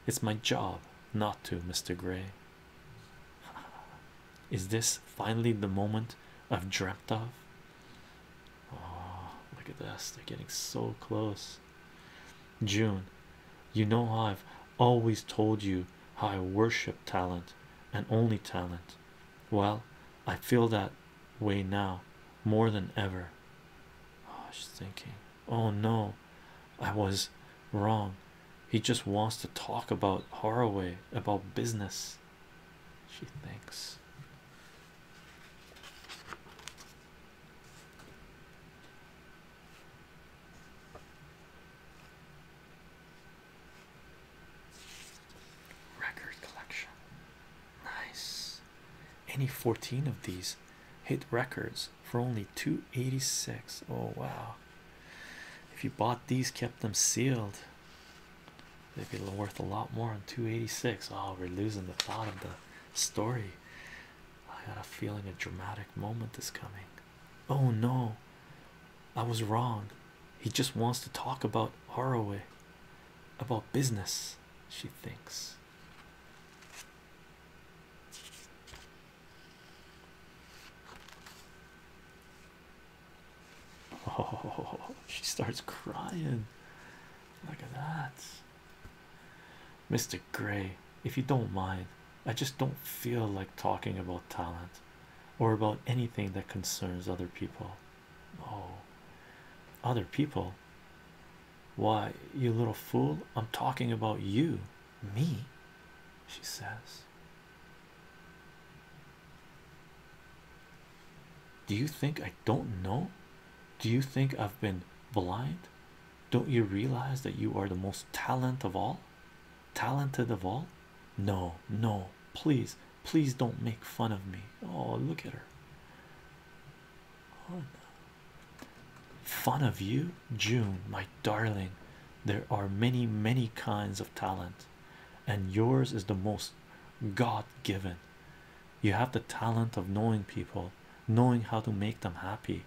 It's my job not to, Mr. Gray. Is this finally the moment I've dreamt of? Oh, look at this, they're getting so close. June, you know, I've always told you how I worship talent and only talent. Well, I feel that way now more than ever. Oh, she's thinking, oh no, I was wrong. He just wants to talk about Haraway, about business. She thinks. Record collection. Nice. Any 14 of these hit records for only 286. Oh wow. If you bought these, kept them sealed, They'd be worth a lot more on 286. Oh, we're losing the thought of the story. I got a feeling a dramatic moment is coming. Oh no, I was wrong. He just wants to talk about Haraway, about business, she thinks. Oh, she starts crying. Look at that, Mr. Gray. If you don't mind, I just don't feel like talking about talent or about anything that concerns other people. Oh, other people. Why, you little fool, I'm talking about you, me, she says. Do you think I don't know? Do you think I've been blind? Don't you realize that you are the most talented of all? Talented of all? No, no, please, please don't make fun of me. Oh, look at her. Oh, no. Fun of you, June, my darling. There are many, many kinds of talent and yours is the most God given. You have the talent of knowing people, knowing how to make them happy.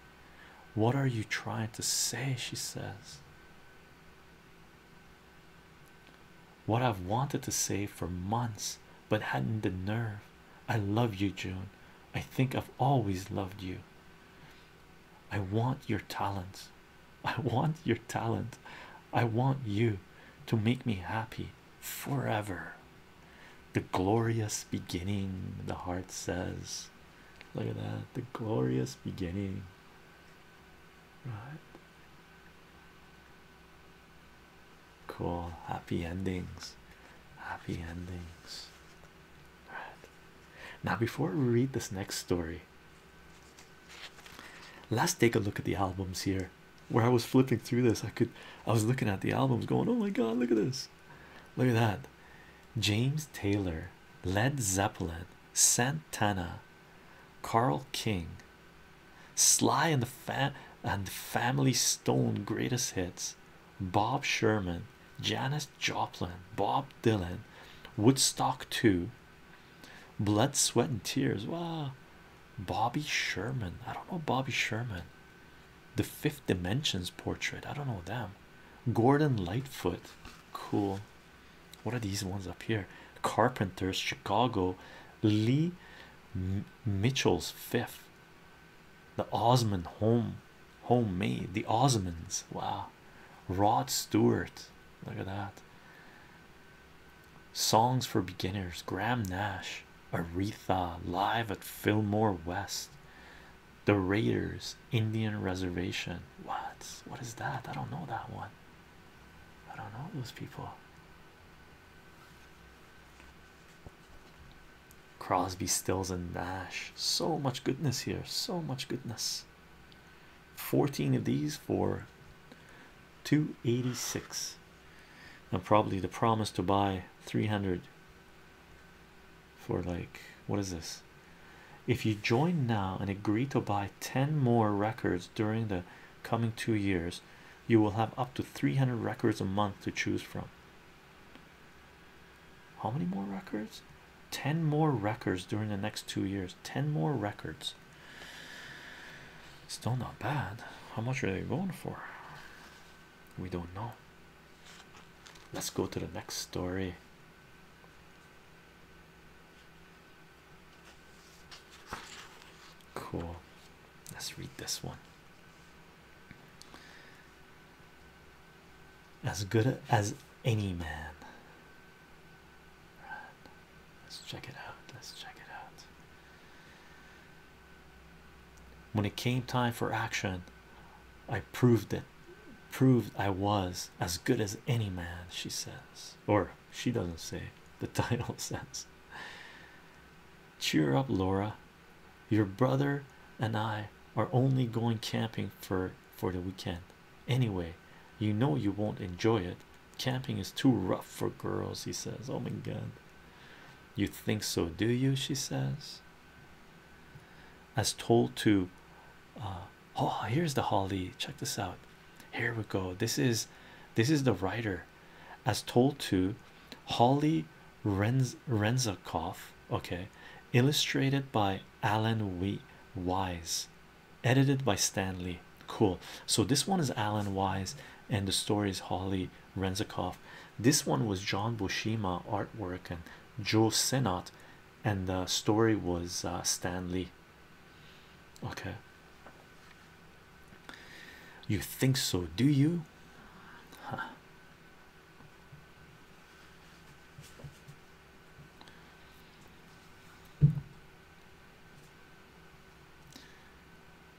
What are you trying to say? She says. What I've wanted to say for months but hadn't the nerve. I love you, June. I think I've always loved you. I want your talents. I want your talent. I want you to make me happy forever. The glorious beginning, the heart says. Look at that. The glorious beginning. Right. Cool. Happy endings. Happy endings. Right. Now, before we read this next story, Let's take a look at the albums here. Where I was flipping through this, I could I was looking at the albums going, Oh my god, look at this! Look at that. James Taylor, Led Zeppelin, Santana, Carl King, Sly and the Fa and Family Stone greatest hits, Bob Sherman, Janis Joplin, Bob Dylan, Woodstock 2, blood, sweat, and tears. Wow, Bobby Sherman. I don't know Bobby Sherman. The Fifth Dimensions portrait. I don't know them. Gordon Lightfoot. Cool. What are these ones up here? Carpenters, Chicago. Lee Mitchell's Fifth. The Osmond home, homemade. The Osmonds. Wow. Rod Stewart. Look at that. Songs for beginners. Graham Nash, Aretha, live at Fillmore West. The Raiders, Indian Reservation. What? What is that? I don't know that one. I don't know those people. Crosby, Stills, and Nash. So much goodness here. So much goodness. 14 of these for 286 and probably the promise to buy 300 for like what is this if you join now and agree to buy 10 more records during the coming two years you will have up to 300 records a month to choose from how many more records 10 more records during the next two years 10 more records Still not bad. How much are they going for? We don't know. Let's go to the next story. Cool. Let's read this one. As good as any man. Let's check it out. Let's check it out. When it came time for action, I proved it. Proved I was as good as any man, she says. Or she doesn't say, the title says. Cheer up, Laura. Your brother and I are only going camping for for the weekend. Anyway, you know you won't enjoy it, Camping is too rough for girls, he says. Oh my god, you think so, do you? She says, as told to uh, oh, here's the Holly. Check this out. Here we go. This is this is the writer as told to Holly Renz Renzakoff, okay, illustrated by Alan Wee Wise edited by Stanley. Cool. So this one is Alan Wise, and the story is Holly Renzakoff. This one was John Bushima artwork and Joe Senat, and the story was uh, Stanley. Okay. You think so, do you?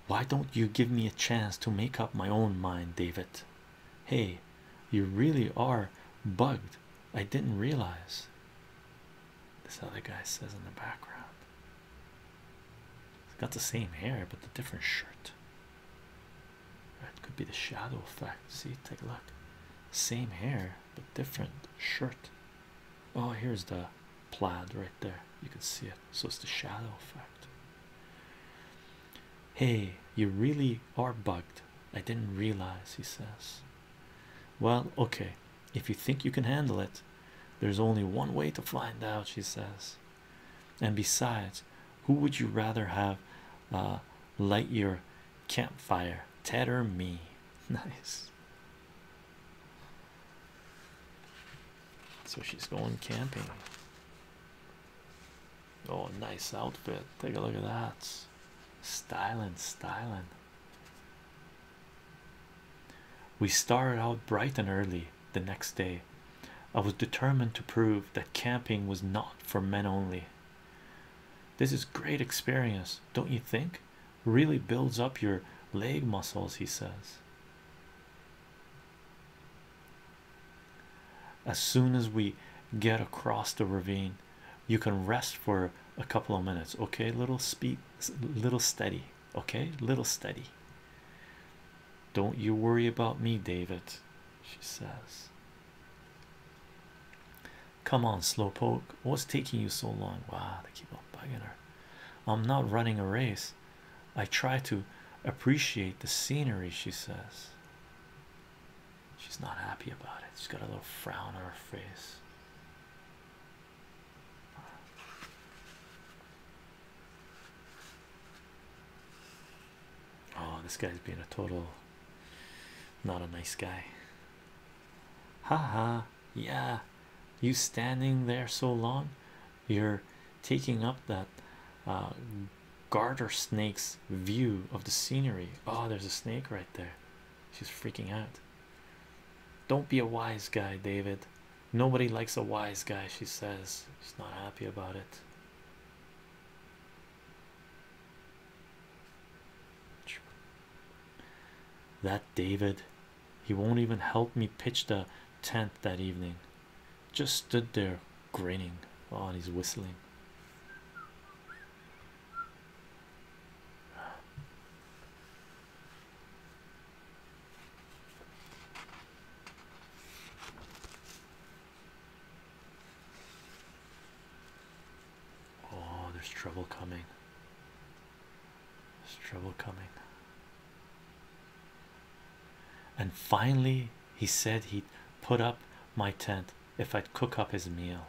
Why don't you give me a chance to make up my own mind, David? Hey, you really are bugged. I didn't realize. This other guy says in the background. It's got the same hair, but the different shirt. It could be the shadow effect. See, take a look. Same hair, but different shirt. Oh, here's the plaid right there. You can see it. So it's the shadow effect. Hey, you really are bugged. I didn't realize, he says. Well, okay, if you think you can handle it, there's only one way to find out, she says. And besides, who would you rather have uh, light your campfire, Ted or me? Nice. So she's going camping. Oh, nice outfit. Take a look at that. Styling, styling. We started out bright and early the next day. I was determined to prove that camping was not for men only. This is great experience, don't you think? really builds up your leg muscles, he says. As soon as we get across the ravine, you can rest for a couple of minutes, okay? Little speed, little steady, okay? Little steady. Don't you worry about me, David, she says. Come on, slowpoke. What's taking you so long? Wow, they keep on bugging I'm not running a race. I try to appreciate the scenery, she says. She's not happy about it. She's got a little frown on her face. Oh, this guy's being a total not a nice guy. Haha, yeah you standing there so long you're taking up that uh, garter snake's view of the scenery oh there's a snake right there she's freaking out don't be a wise guy david nobody likes a wise guy she says she's not happy about it that David he won't even help me pitch the tent that evening. Just stood there grinning. Oh, he's whistling. Oh, there's trouble coming. There's trouble coming. And finally, he said he'd put up my tent if I'd cook up his meal.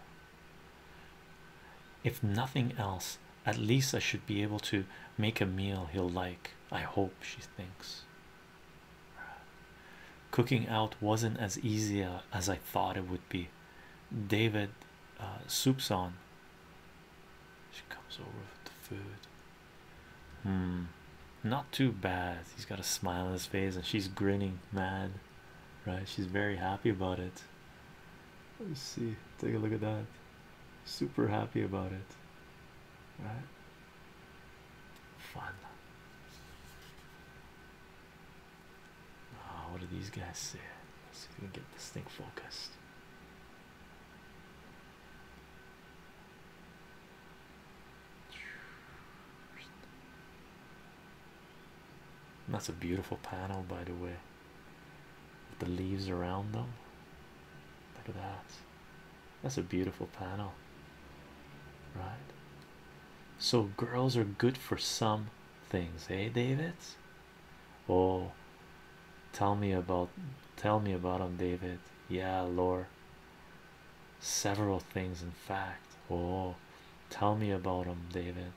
If nothing else, at least I should be able to make a meal he'll like. I hope, she thinks. Cooking out wasn't as easy uh, as I thought it would be. David uh, soups on. She comes over with the food. Hmm, not too bad. He's got a smile on his face and she's grinning, mad, right? She's very happy about it. Let's see, take a look at that. Super happy about it, right? Fun. Oh, what do these guys say? Let's see if we can get this thing focused. That's a beautiful panel, by the way. With the leaves around them. Look at that. That's a beautiful panel, right? So, girls are good for some things, eh, David? oh tell me about tell me about him david yeah lore several things in fact oh tell me about him david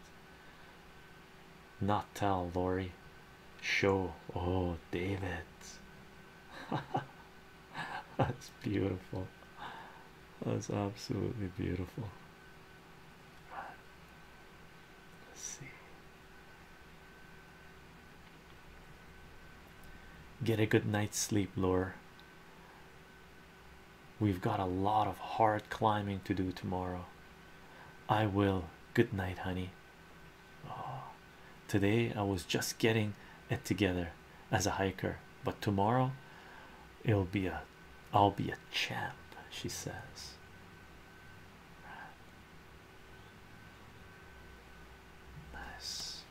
not tell Lori show oh David that's beautiful that's absolutely beautiful let's see Get a good night's sleep, Lore. We've got a lot of hard climbing to do tomorrow. I will. Good night, honey. Oh, today I was just getting it together as a hiker, but tomorrow it'll be a I'll be a champ, she says. Nice.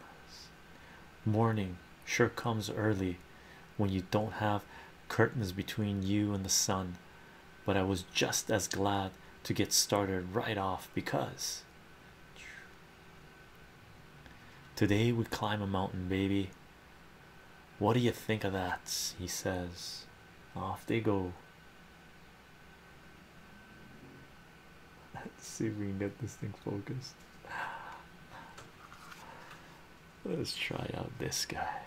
Nice. Morning sure comes early when you don't have curtains between you and the sun, but I was just as glad to get started right off because Today we climb a mountain, baby. What do you think of that? He says, Off they go. Let's see if we can get this thing focused. Let's try out this guy.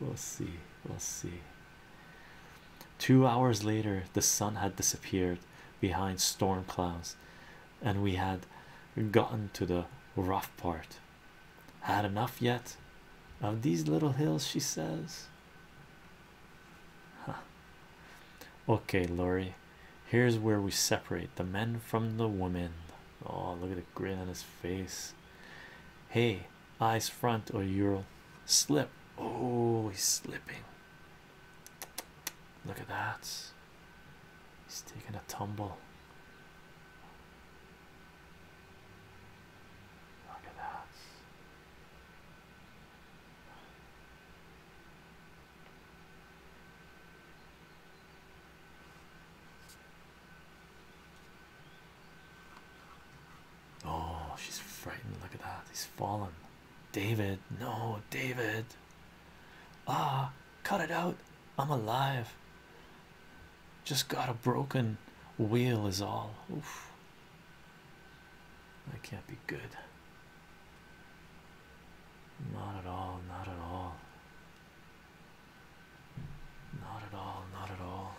We'll see. We'll see. Two hours later, the sun had disappeared behind storm clouds and we had gotten to the rough part. Had enough yet of these little hills, she says. Huh. Okay, Laurie, here's where we separate the men from the women. Oh, look at the grin on his face. Hey, eyes front, or you'll slip. Oh, he's slipping. Look at that. He's taking a tumble. Look at that. Oh, she's frightened. Look at that. He's fallen. David, no, David. Ah, cut it out. I'm alive. Just got a broken wheel, is all. Oof. That can't be good. Not at all, not at all. Not at all, not at all.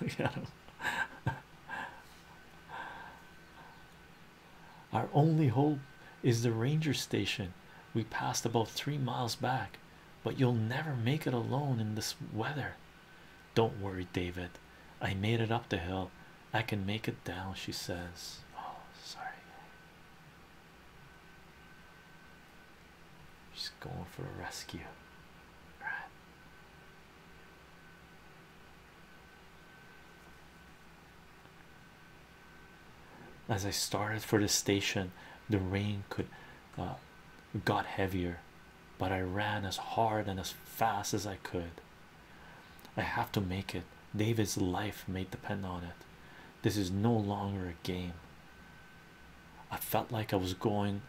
Look at him. Our only hope is the ranger station we passed about three miles back, but you'll never make it alone in this weather. Don't worry, David. I made it up the hill. I can make it down, she says. Oh, sorry. She's going for a rescue. All right. As I started for the station, the rain could uh, got heavier, but I ran as hard and as fast as I could. I have to make it. David's life may depend on it. This is no longer a game. I felt like I was going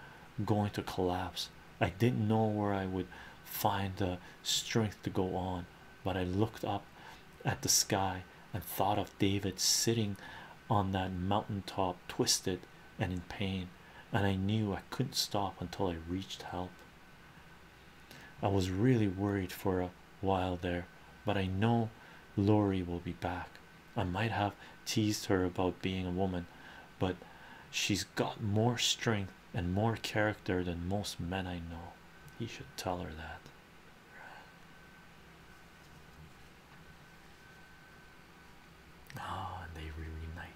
going to collapse. I didn't know where I would find the strength to go on, but I looked up at the sky and thought of David sitting on that mountain top, twisted and in pain, and I knew I couldn't stop until I reached help. I was really worried for a while there, but I know Lori will be back. I might have teased her about being a woman, but she's got more strength and more character than most men I know. He should tell her that. Ah, they reunite.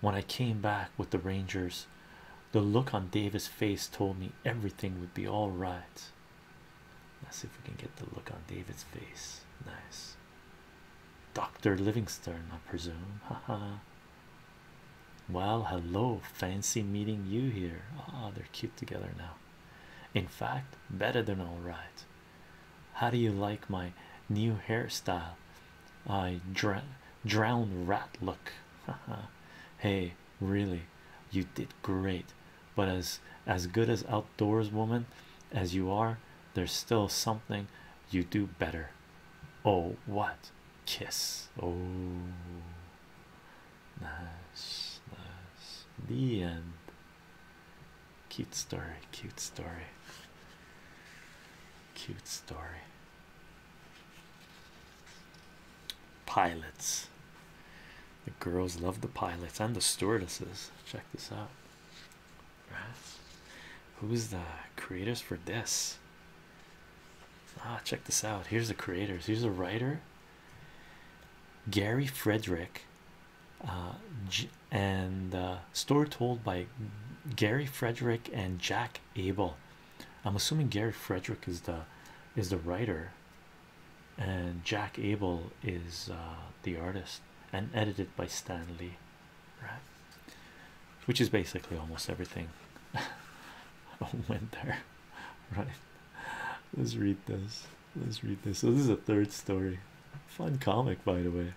When I came back with the Rangers, the look on Davis' face told me everything would be all right. Let's see if we can get the look on David's face. Nice. Dr. Livingstone, I presume. Ha ha. well, hello. Fancy meeting you here. Ah, they're cute together now. In fact, better than all right. How do you like my new hairstyle? I dra drowned rat look. hey, really, you did great. But as as good as outdoors woman as you are, there's still something you do better. Oh, what kiss? Oh, nice, nice. The end. Cute story, cute story, cute story. Pilots. The girls love the pilots and the stewardesses. Check this out. Who's the creators for this? Ah, check this out. Here's the creators. Here's a writer, Gary Frederick, uh, and uh, story told by Gary Frederick and Jack Abel. I'm assuming Gary Frederick is the is the writer and Jack Abel is uh, the artist and edited by Stan Lee right which is basically almost everything went there right let's read this let's read this so this is a third story fun comic by the way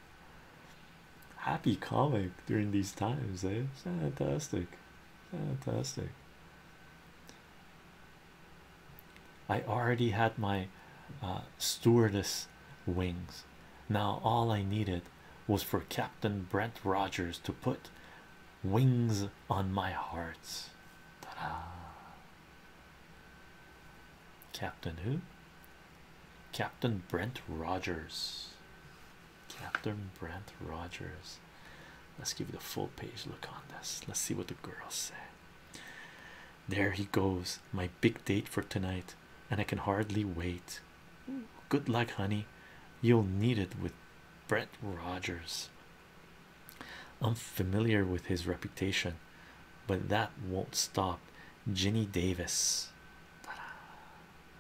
happy comic during these times, eh? Fantastic, fantastic. I already had my uh, stewardess wings. Now all I needed was for Captain Brent Rogers to put wings on my heart. Captain who? Captain Brent Rogers. Captain Brent Rogers. Let's give you the full page look on this. Let's see what the girls say. There he goes, my big date for tonight, and I can hardly wait. Good luck, honey. You'll need it with Brent Rogers. I'm familiar with his reputation, but that won't stop Ginny Davis.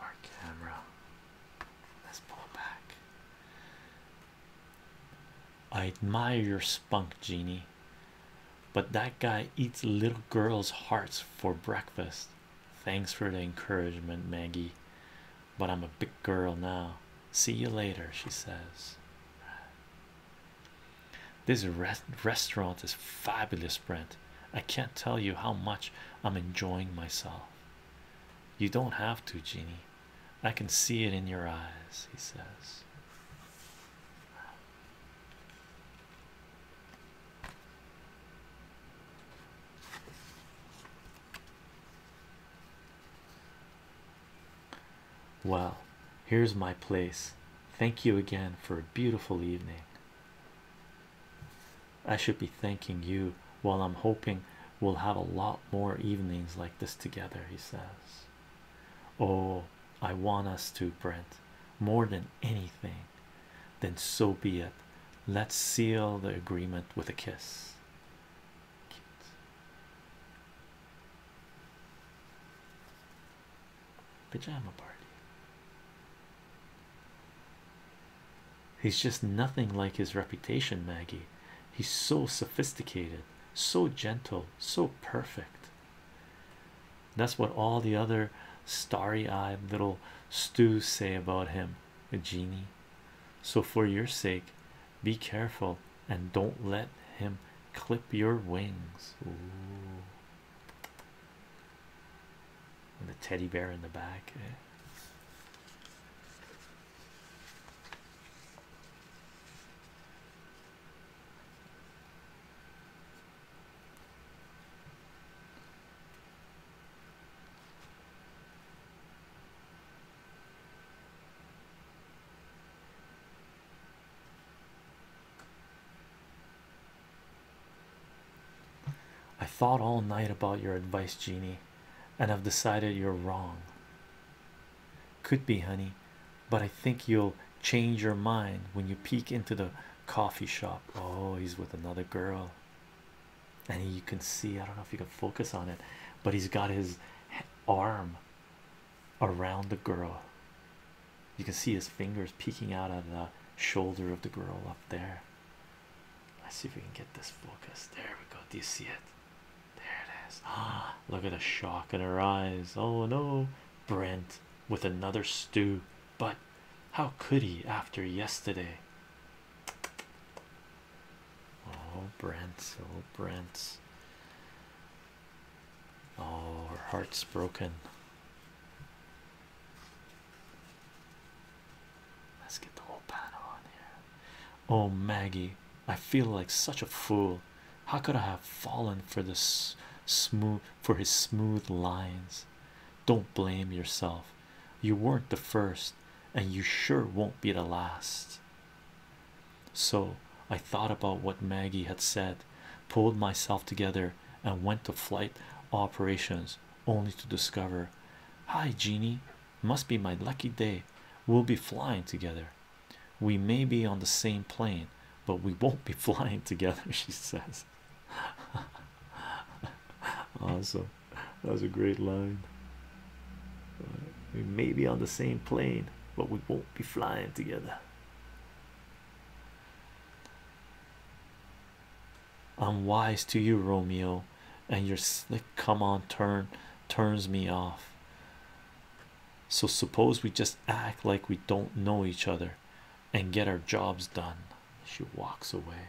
Our camera. Let's pull back. I admire your spunk, Genie, but that guy eats little girls' hearts for breakfast. Thanks for the encouragement, Maggie, but I'm a big girl now. See you later, she says. This restaurant is fabulous, Brent. I can't tell you how much I'm enjoying myself. You don't have to, Jeannie. I can see it in your eyes, he says. Well, here's my place. Thank you again for a beautiful evening. I should be thanking you while I'm hoping we'll have a lot more evenings like this together, he says. Oh, I want us to, Brent, more than anything. Then so be it. Let's seal the agreement with a kiss. Pajama party. He's just nothing like his reputation, Maggie. He's so sophisticated, so gentle, so perfect. That's what all the other starry eyed little stews say about him, a genie. So, for your sake, be careful and don't let him clip your wings. Ooh. And the teddy bear in the back. Eh? I thought all night about your advice, Jeannie, and I've decided you're wrong. Could be, honey, but I think you'll change your mind when you peek into the coffee shop. Oh, he's with another girl, and you can see I don't know if you can focus on it, but he's got his arm around the girl. You can see his fingers peeking out of the shoulder of the girl up there. Let's see if we can get this focus. There we go. Do you see it? There it is. Ah, look at the shock in her eyes. Oh no, Brent with another stew. But how could he after yesterday? Oh, Brent, oh, Brent. Oh, her heart's broken. Let's get the whole panel on here. Oh, Maggie, I feel like such a fool. How could I have fallen for this smooth for his smooth lines? Don't blame yourself. You weren't the first, and you sure won't be the last. So I thought about what Maggie had said, pulled myself together, and went to flight operations only to discover hi Jeannie must be my lucky day we'll be flying together we may be on the same plane but we won't be flying together she says awesome that was a great line we may be on the same plane but we won't be flying together I'm wise to you, Romeo, and your slick come on turn turns me off. So, suppose we just act like we don't know each other and get our jobs done. She walks away.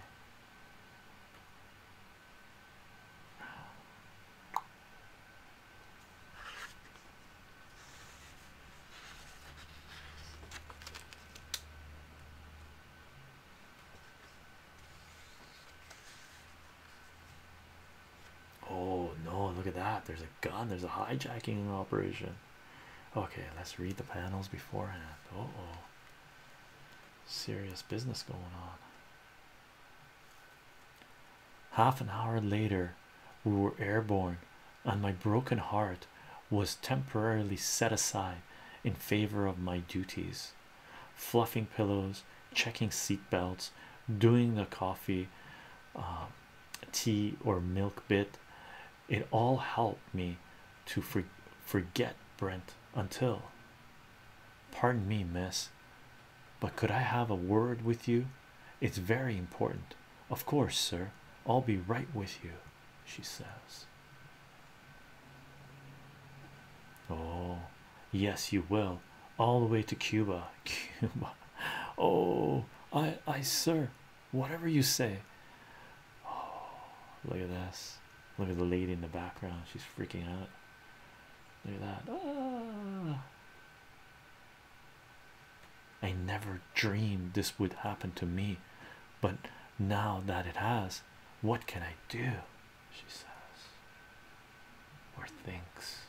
Oh no, look at that. There's a gun, there's a hijacking operation. Okay, let's read the panels beforehand. oh, serious business going on. Half an hour later, we were airborne and my broken heart was temporarily set aside in favor of my duties fluffing pillows checking seat belts doing the coffee uh, tea or milk bit it all helped me to for forget brent until pardon me miss but could i have a word with you it's very important of course sir i'll be right with you she says. Oh, yes, you will all the way to Cuba. Cuba. Oh, I, I, sir, whatever you say. Oh, look at this. Look at the lady in the background. She's freaking out. Look at that. Ah. I never dreamed this would happen to me, but now that it has, what can I do? She says, or thinks.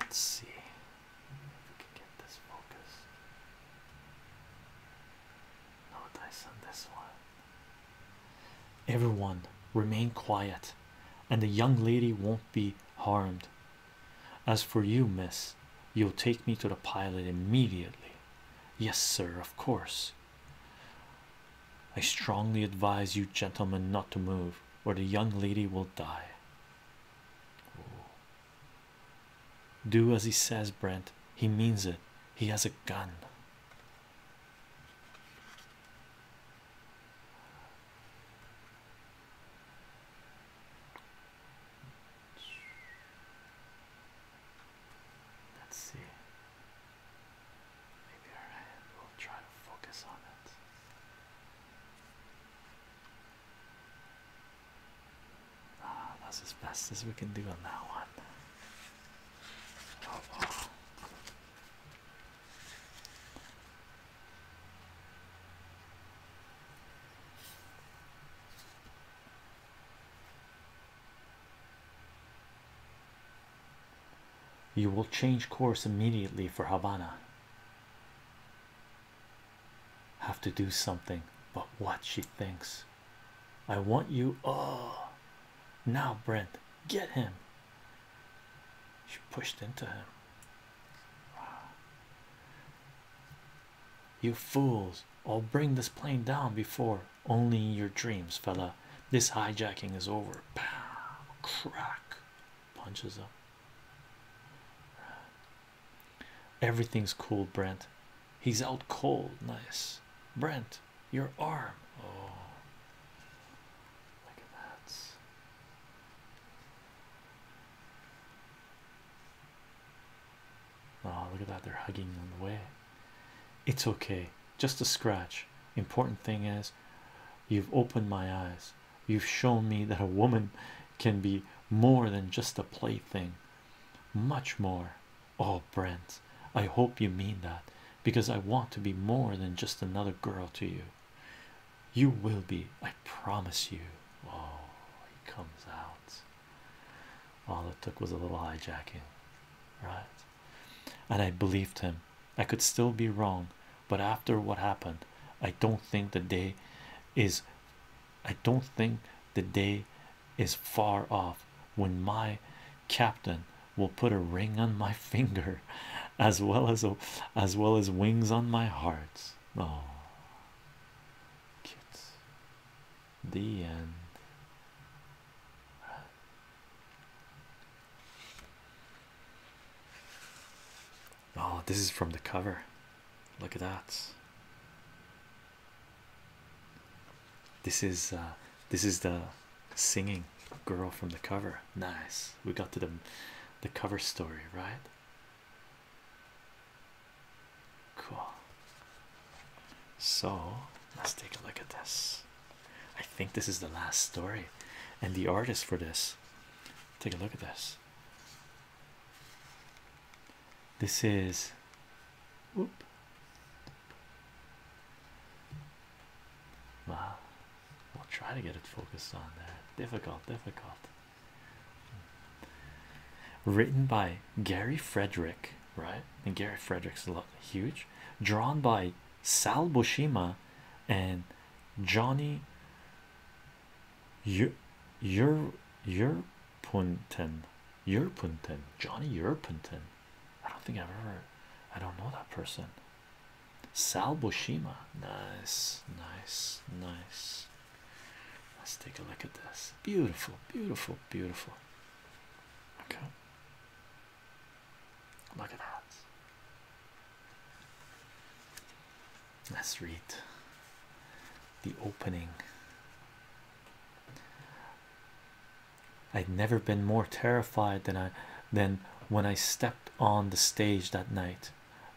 Let's see. If we can get this focused. No on this one. Everyone remain quiet, and the young lady won't be harmed. As for you, miss, you'll take me to the pilot immediately. Yes, sir, of course. I strongly advise you, gentlemen, not to move, or the young lady will die. Ooh. Do as he says, Brent. He means it. He has a gun. Let's see. Maybe our hand will try to focus on it. Ah, that's as best as we can do on that one. Oh, oh. You will change course immediately for Havana have to do something but what she thinks i want you oh now brent get him she pushed into him you fools i'll bring this plane down before only in your dreams fella this hijacking is over Pow, crack punches up Everything's cool, Brent. He's out cold. Nice, Brent. Your arm. Oh, look at that. Oh, look at that. They're hugging on the way. It's okay, just a scratch. Important thing is, you've opened my eyes you've shown me that a woman can be more than just a plaything, much more. Oh, Brent, I hope you mean that because I want to be more than just another girl to you. You will be, I promise you. Oh, he comes out. All it took was a little hijacking, right? And I believed him. I could still be wrong, but after what happened, I don't think the day is I don't think the day is far off when my captain will put a ring on my finger as well as as well as wings on my heart. Oh kids. The end. Oh, this is from the cover. Look at that. This is uh, this is the singing girl from the cover. Nice. We got to the the cover story, right? Cool. So let's take a look at this. I think this is the last story, and the artist for this. Take a look at this. This is whoop. Wow, we'll try to get it focused on there. Difficult, difficult. Written by Gary Frederick, right? And Gary Frederick's a lot huge, drawn by Sal Bushima and Johnny your your your Punten, Johnny Yerpunten. I don't think I've ever. I don't know that person. Sal Boshima, nice, nice, nice. Let's take a look at this. Beautiful, beautiful, beautiful. Okay. Look at that. Let's read the opening. I'd never been more terrified than I than when I stepped on the stage that night,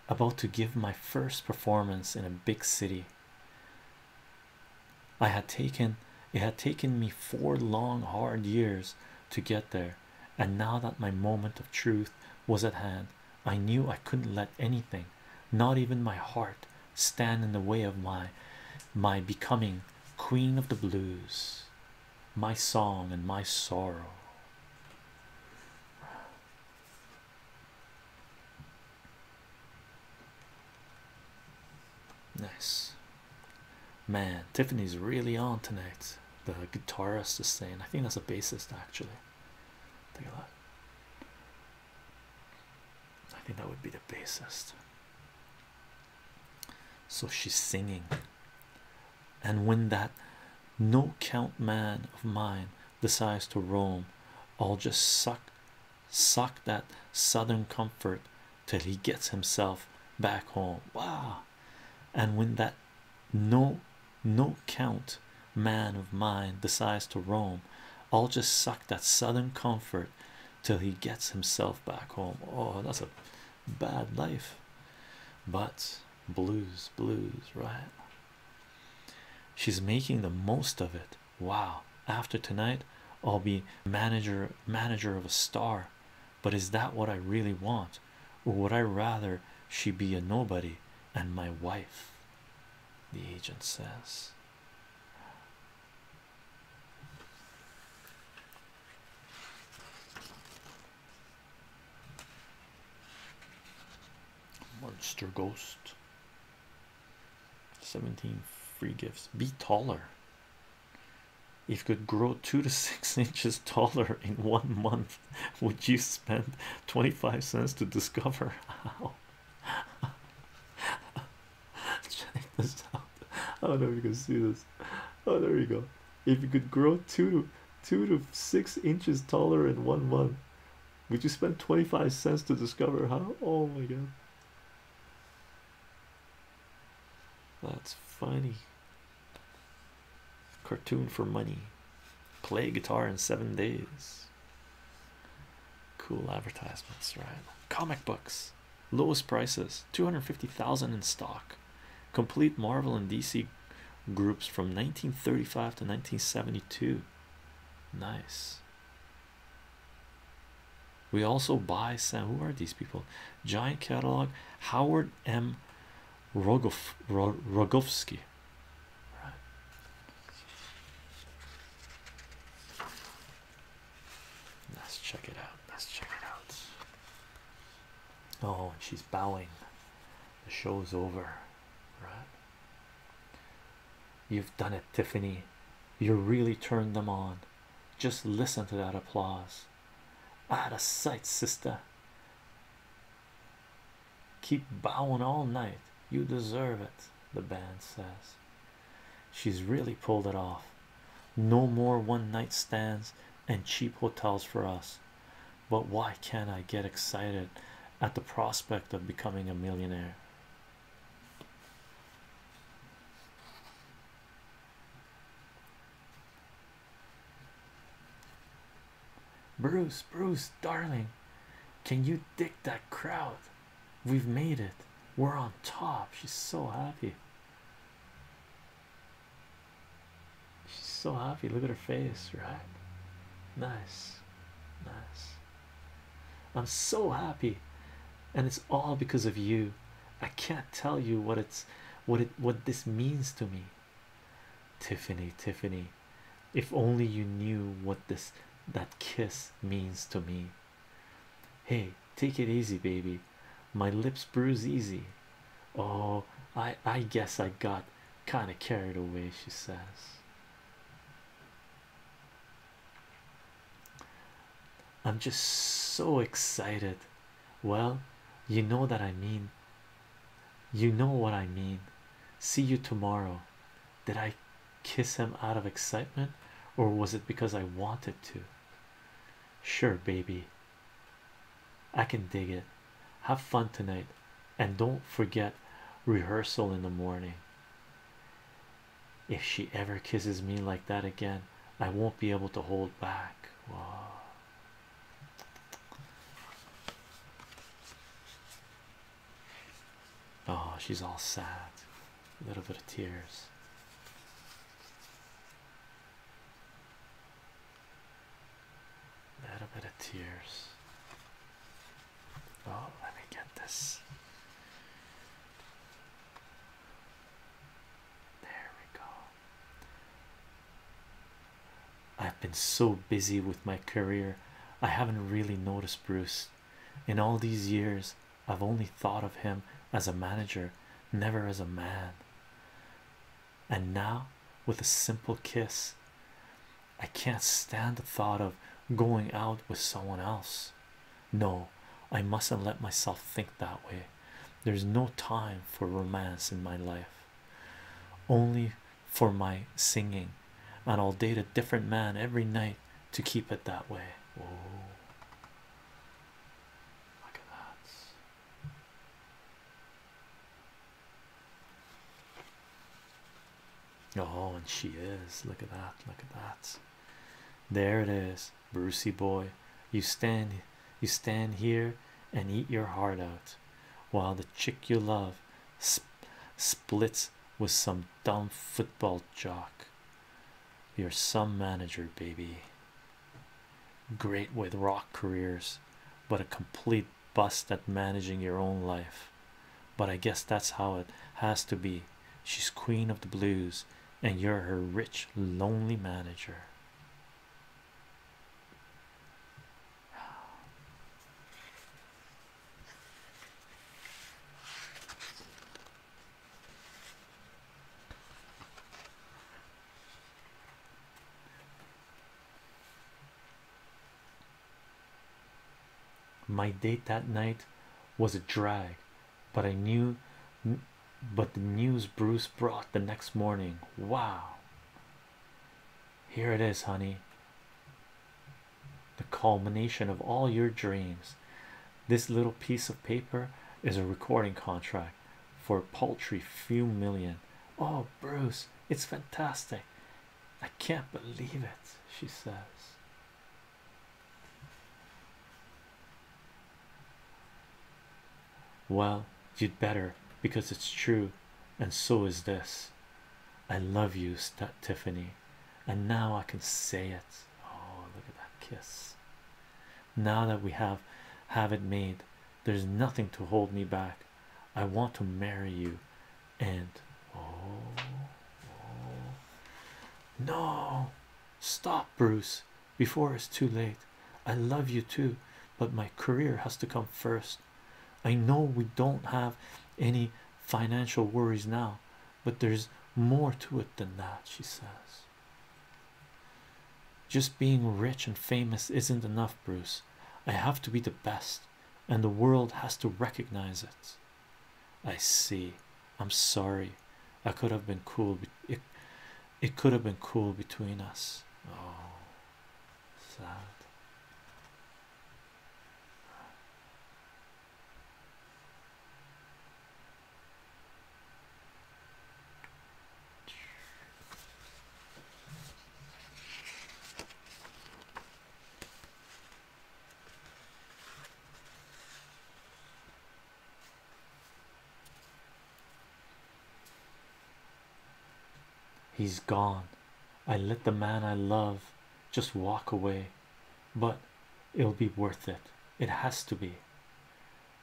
about to give my first performance in a big city. I had taken it had taken me four long hard years to get there, and now that my moment of truth was at hand. I knew I couldn't let anything, not even my heart, stand in the way of my my becoming queen of the blues, my song and my sorrow. Nice man, Tiffany's really on tonight. The guitarist is saying, I think that's a bassist actually. Take a look. I think that would be the basest. So she's singing, and when that no count man of mine decides to roam, I'll just suck, suck that southern comfort till he gets himself back home. Wow! And when that no no count man of mine decides to roam, I'll just suck that southern comfort till he gets himself back home. Oh, that's a bad life, but blues, blues, right? She's making the most of it. Wow, after tonight, I'll be manager manager of a star. But is that what I really want? Or would I rather she be a nobody and my wife? the agent says. Monster Ghost 17 free gifts. Be taller. If you could grow two to six inches taller in one month, would you spend 25 cents to discover how? Check this out. I don't know if you can see this. Oh, there you go. If you could grow two to two to six inches taller in one month, would you spend 25 cents to discover how? Oh my god. That's funny. Cartoon for money. Play guitar in seven days. Cool advertisements, right? Comic books, lowest prices, 250,000 in stock. Complete Marvel and DC groups from 1935 to 1972. Nice. We also buy Sam. Who are these people? Giant catalog. Howard M. Rogof, Rogovsky. Let's check it out. Let's check it out. Oh, she's bowing. The show's over, right? You've done it, Tiffany. You really turned them on. Just listen to that applause. Out of sight, sister. Keep bowing all night. You deserve it, the band says. She's really pulled it off. No more one night stands and cheap hotels for us. But why can't I get excited at the prospect of becoming a millionaire? Bruce, Bruce, darling, can you dig that crowd? We've made it. We're on top. She's so happy. She's so happy. Look at her face, right? Nice. Nice. I'm so happy. And it's all because of you. I can't tell you what it's what it what this means to me. Tiffany, Tiffany, if only you knew what this that kiss means to me. Hey, take it easy, baby. My lips bruise easy. Oh, I I guess I got kind of carried away, she says. I'm just so excited. Well, you know that I mean. You know what I mean. See you tomorrow. Did I kiss him out of excitement, or was it because I wanted to? Sure, baby. I can dig it. Have fun tonight, and don't forget rehearsal in the morning. If she ever kisses me like that again, I won't be able to hold back. Oh, she's all sad, a little bit of tears. A little bit of tears. Oh, let me get this. There we go. I've been so busy with my career, I haven't really noticed Bruce in all these years, I've only thought of him as a manager, never as a man. And now, with a simple kiss, I can't stand the thought of going out with someone else. No, I mustn't let myself think that way. There's no time for romance in my life, only for my singing and I'll date a different man every night to keep it that way. Whoa. Look at that. Oh, and she is. Look at that. Look at that. There it is, Brucey boy. You stand, you stand here and eat your heart out, while the chick you love sp splits with some dumb football jock. You're some manager, baby. Great with rock careers, but a complete bust at managing your own life. But I guess that's how it has to be. She's queen of the blues, and you're her rich, lonely manager. My date that night was a drag, but I knew but the news Bruce brought the next morning. Wow, here it is, honey the culmination of all your dreams. This little piece of paper is a recording contract for a paltry few million. Oh, Bruce, it's fantastic! I can't believe it, she says. Well, you'd better because it's true, and so is this. I love you, Tiffany and now I can say it. Oh, look at that kiss! Now that we have have it made, there's nothing to hold me back. I want to marry you, and oh, oh. no, stop, Bruce, before it's too late. I love you too, but my career has to come first. I know we don't have any financial worries now, but there's more to it than that, she says. Just being rich and famous isn't enough, Bruce. I have to be the best, and the world has to recognize it. I see. I'm sorry. I could have been cool. It, it could have been cool between us. Oh, sad. He's gone. I let the man I love just walk away, but it'll be worth it. It has to be.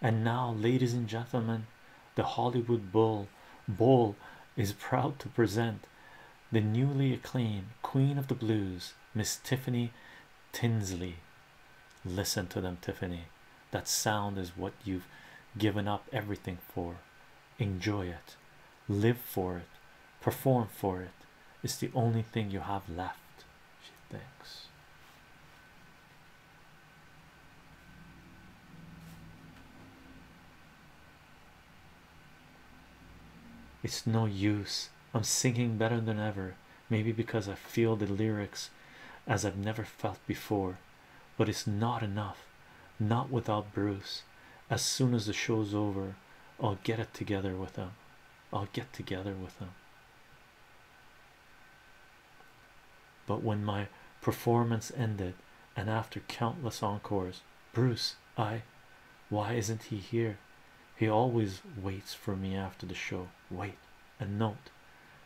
And now, ladies and gentlemen, the Hollywood Bowl Bowl is proud to present the newly acclaimed Queen of the Blues, Miss Tiffany Tinsley. Listen to them, Tiffany. That sound is what you've given up everything for. Enjoy it, live for it, perform for it. It's the only thing you have left, she thinks. It's no use. I'm singing better than ever, maybe because I feel the lyrics as I've never felt before, but it's not enough. Not without Bruce. As soon as the show's over, I'll get it together with him. I'll get together with him. But when my performance ended, and after countless encores, Bruce, I why isn't he here? He always waits for me after the show. Wait, a note,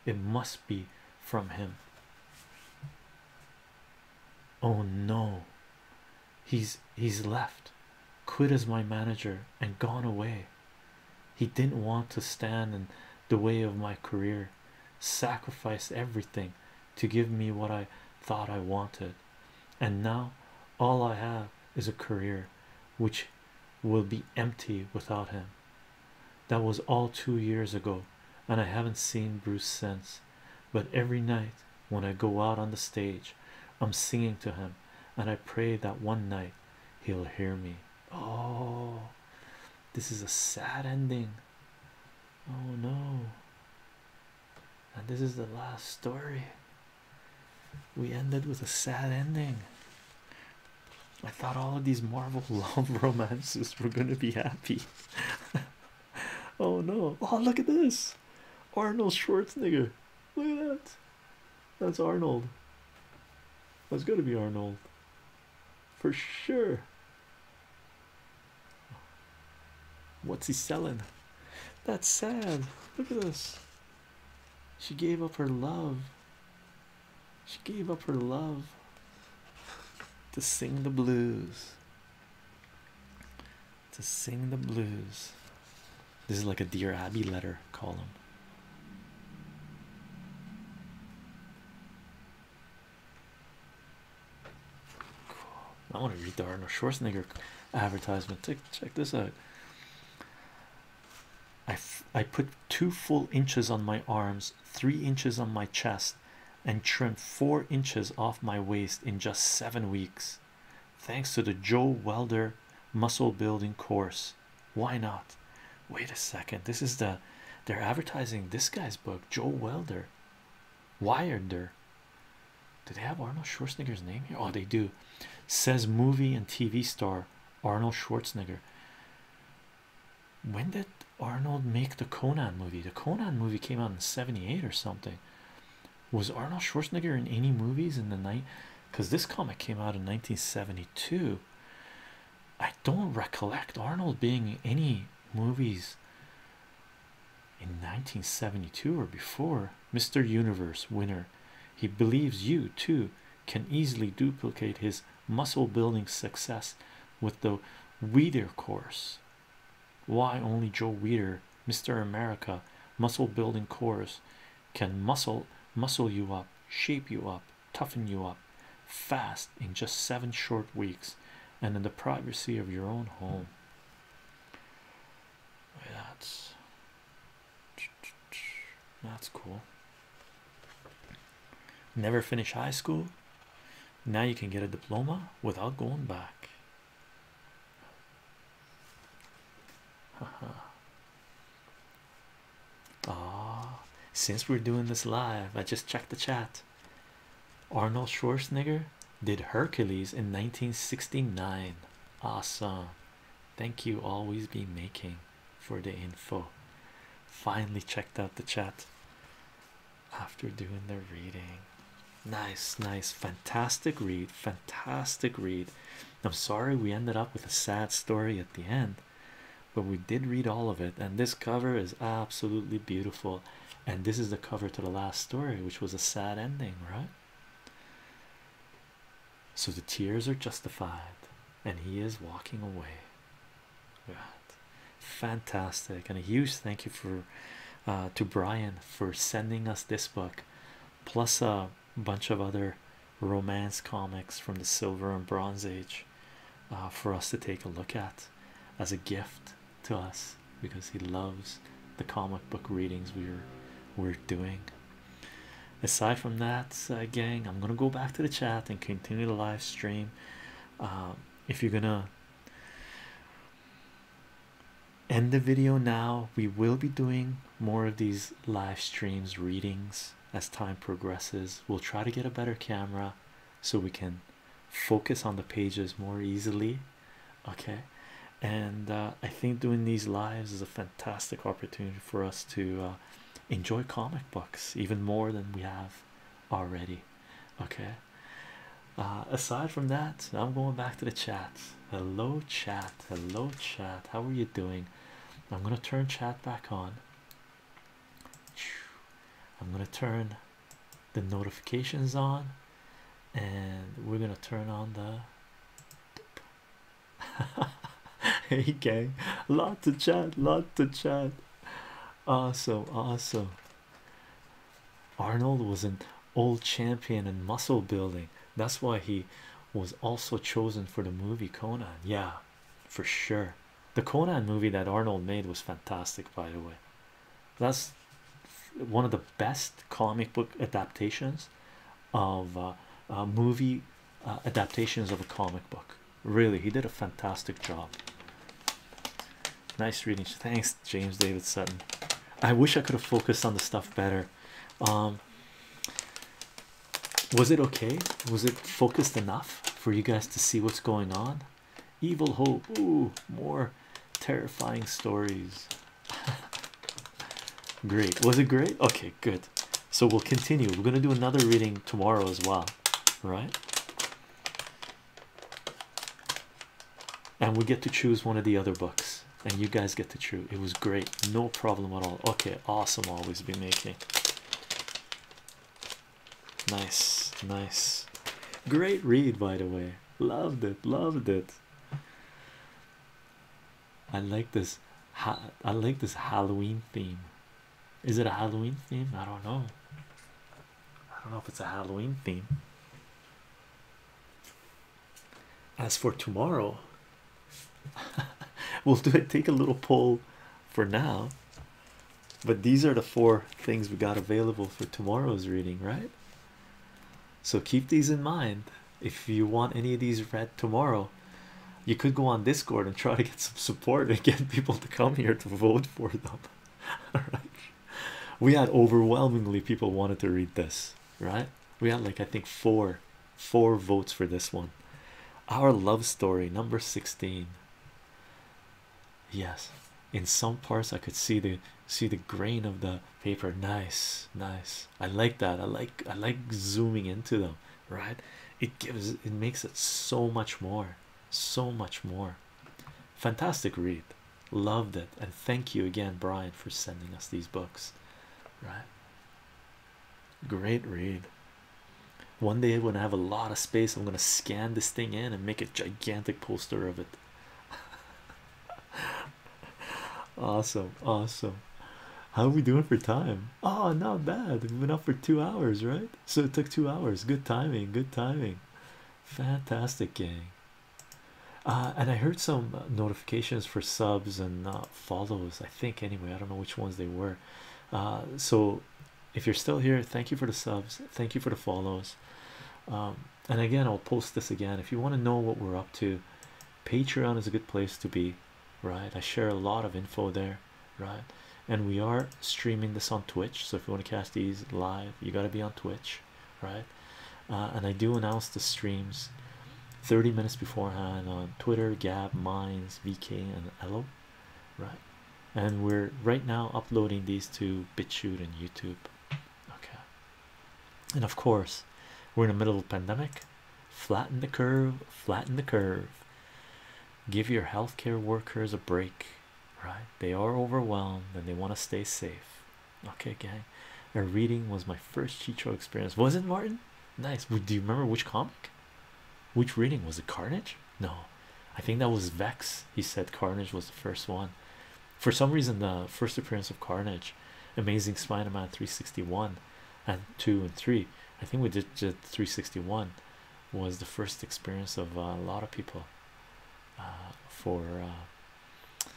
it must be from him. Oh no, he's he's left quit as my manager and gone away he didn't want to stand in the way of my career sacrificed everything to give me what i thought i wanted and now all i have is a career which will be empty without him that was all two years ago and i haven't seen bruce since but every night when i go out on the stage i'm singing to him and i pray that one night he'll hear me oh this is a sad ending oh no and this is the last story we ended with a sad ending i thought all of these marvel love romances were going to be happy oh no oh look at this Arnold Schwarzenegger. Look at that. That's Arnold. That's got to be Arnold. For sure. What's he selling? That's sad. Look at this. She gave up her love. She gave up her love to sing the blues to sing the blues. This is like a Dear Abby letter column. Cool. I want to read the Arnold Schwarzenegger advertisement. Take, check this out. I, I put two full inches on my arms, three inches on my chest, and trimmed four inches off my waist in just seven weeks thanks to the Joe Welder muscle building course. Why not? Wait a second. This is the they're advertising this guy's book, Joe Welder. Wireder. Do they have Arnold Schwarzenegger's name here? Oh, they do. Says movie and TV star Arnold Schwarzenegger. When did Arnold make the Conan movie? The Conan movie came out in 78 or something was Arnold Schwarzenegger in any movies in the night? Because this comic came out in 1972. I don't recollect Arnold being in any movies in 1972 or before. Mr. Universe winner. He believes you too can easily duplicate his muscle building success with the Weeder course. Why only Joe Weeder Mr. America muscle building course can muscle muscle you up shape you up toughen you up fast in just seven short weeks and in the privacy of your own home that's that's cool never finish high school now you can get a diploma without going back since we're doing this live, I just checked the chat. Arnold Schwarzenegger did Hercules in 1969. Awesome. Thank you, always be making for the info. Finally checked out the chat after doing the reading. Nice, nice, fantastic read, fantastic read. I'm sorry we ended up with a sad story at the end, but we did read all of it, and this cover is absolutely beautiful. And this is the cover to the last story, which was a sad ending, right? So the tears are justified, and he is walking away. Right. Fantastic, and a huge thank you for uh, to Brian for sending us this book, plus a uh, bunch of other romance comics from the Silver and Bronze Age uh, for us to take a look at as a gift to us because he loves the comic book readings we're we're doing. Aside from that, uh, gang, I'm gonna go back to the chat and continue the live stream. Um, if you're gonna end the video now, we will be doing more of these live streams readings as time progresses. We'll try to get a better camera so we can focus on the pages more easily. Okay, and uh, I think doing these lives is a fantastic opportunity for us to uh, enjoy comic books even more than we have already. Okay, uh, aside from that, I'm going back to the chat. Hello, chat. Hello, chat. How are you doing? I'm gonna turn chat back on. I'm gonna turn the notifications on, and we're gonna turn on the. hey gang, lot to chat, lot to chat. Awesome, awesome. Arnold was an old champion in muscle building. That's why he was also chosen for the movie Conan. Yeah, for sure. The Conan movie that Arnold made was fantastic, by the way. That's one of the best comic book adaptations of uh, uh, movie uh, adaptations of a comic book. Really, he did a fantastic job. Nice reading. Thanks, James David Sutton. I wish I could have focused on the stuff better. Um, was it okay? Was it focused enough for you guys to see what's going on? Evil Hope, ooh, more terrifying stories. great, was it great? Okay, good. So we'll continue. We're gonna do another reading tomorrow as well, right? And we get to choose one of the other books and you guys get the truth. It was great, no problem at all. Okay, awesome. Always be making nice, nice, great read, by the way. Loved it, loved it. I like this. I like this Halloween theme. Is it a Halloween theme? I don't know. I don't know if it's a Halloween theme. As for tomorrow, we'll do it. Take a little poll for now, but these are the four things we got available for tomorrow's reading, right? So keep these in mind if you want any of these read tomorrow. You could go on Discord and try to get some support and get people to come here to vote for them. All right, we had overwhelmingly people wanted to read this, right? We had like I think four four votes for this one. Our love story, number 16. Yes, in some parts I could see the see the grain of the paper. Nice, nice. I like that. I like I like zooming into them, right? It gives it makes it so much more, so much more. Fantastic read. Loved it. And thank you again, Brian, for sending us these books. Right. Great read. One day when I have a lot of space, I'm gonna scan this thing in and make a gigantic poster of it. awesome, awesome. How are we doing for time? Oh, not bad. We've been up for two hours, right? So it took two hours. Good timing, good timing. Fantastic, gang. Uh, and I heard some notifications for subs and not. Uh, follows, I think, anyway. I don't know which ones they were. Uh, so, if you're still here, thank you for the subs, thank you for the follows. Um, and again, I'll post this again if you want to know what we're up to. Patreon is a good place to be, right? I share a lot of info there, right? And we are streaming this on Twitch, so if you want to cast these live, you got to be on Twitch, right? Uh, and I do announce the streams 30 minutes beforehand on Twitter, Gab, Minds, VK, and Ello, right? And we're right now uploading these to BitChute and YouTube, okay? And of course, we're in the middle of pandemic. Flatten the curve, flatten the curve, give your healthcare workers a break, right? They are overwhelmed and they want to stay safe, okay, gang. A reading was my first Chicho experience, was it, Martin? Nice. Do you remember which comic? Which reading was it? Carnage? No, I think that was Vex. He said Carnage was the first one. For some reason, the first appearance of Carnage, Amazing Spider-Man 361, and two and three. I think we did, did 361 was the first experience of uh, a lot of people uh, for uh,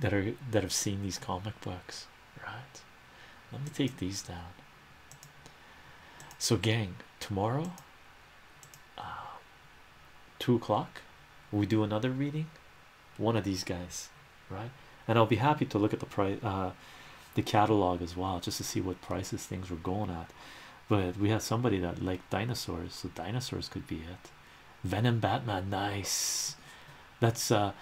that are that have seen these comic books right? Let me take these down. So, gang, tomorrow, uh, two o'clock, we do another reading. One of these guys, right? And I'll be happy to look at the price, uh, the catalog as well, just to see what prices things were going at. But we had somebody that liked dinosaurs, so dinosaurs could be it. Venom Batman, nice. That's uh,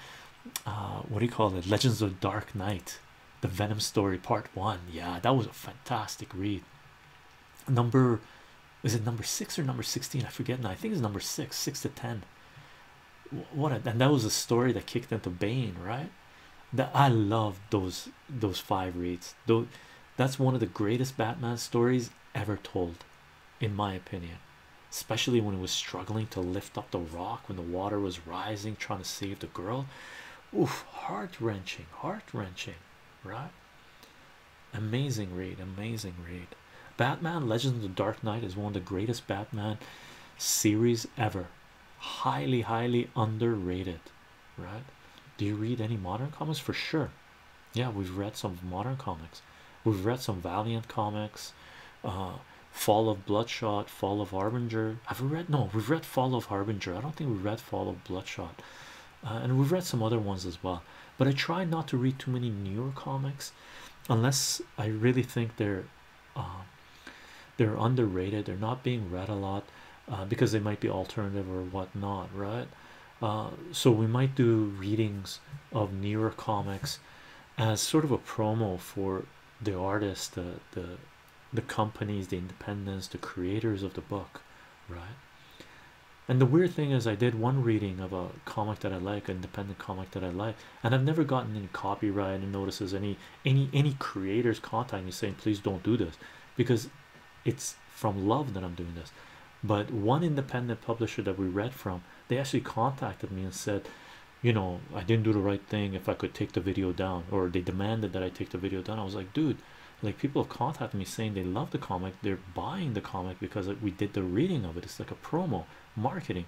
uh, what do you call it? Legends of Dark Knight, the Venom story, part one. Yeah, that was a fantastic read. Number is it number six or number 16? I forget now. I think it's number six, six to ten. What and that was a story that kicked into Bane, right? That I love those those five reads. Though that's one of the greatest Batman stories ever told, in my opinion especially when he was struggling to lift up the rock when the water was rising, trying to save the girl. Oof, heart wrenching, heart wrenching, right? Amazing read, amazing read. Batman Legends of the Dark Knight is one of the greatest Batman series ever. Highly, highly underrated, right? Do you read any modern comics? For sure. Yeah, we've read some modern comics. We've read some Valiant comics. Uh, Fall of Bloodshot, Fall of Harbinger. i Have read? No, we've read Fall of Harbinger. I don't think we've read Fall of Bloodshot, uh, and we've read some other ones as well. But I try not to read too many newer comics, unless I really think they're uh, they're underrated. They're not being read a lot uh, because they might be alternative or whatnot, right? so we might do readings of newer comics as sort of a promo for the artists the the companies the independents the creators of the book right and the weird thing is i did one reading of a comic that i like an independent comic that i like and i've never gotten any copyright notices any any any creators contacting me saying please don't do this because it's from love that i'm doing this but one independent publisher that we read from they actually contacted me and said you know i didn't do the right thing if i could take the video down or they demanded that i take the video down i was like dude like people have contacted me saying they love the comic they're buying the comic because we did the reading of it it's like a promo marketing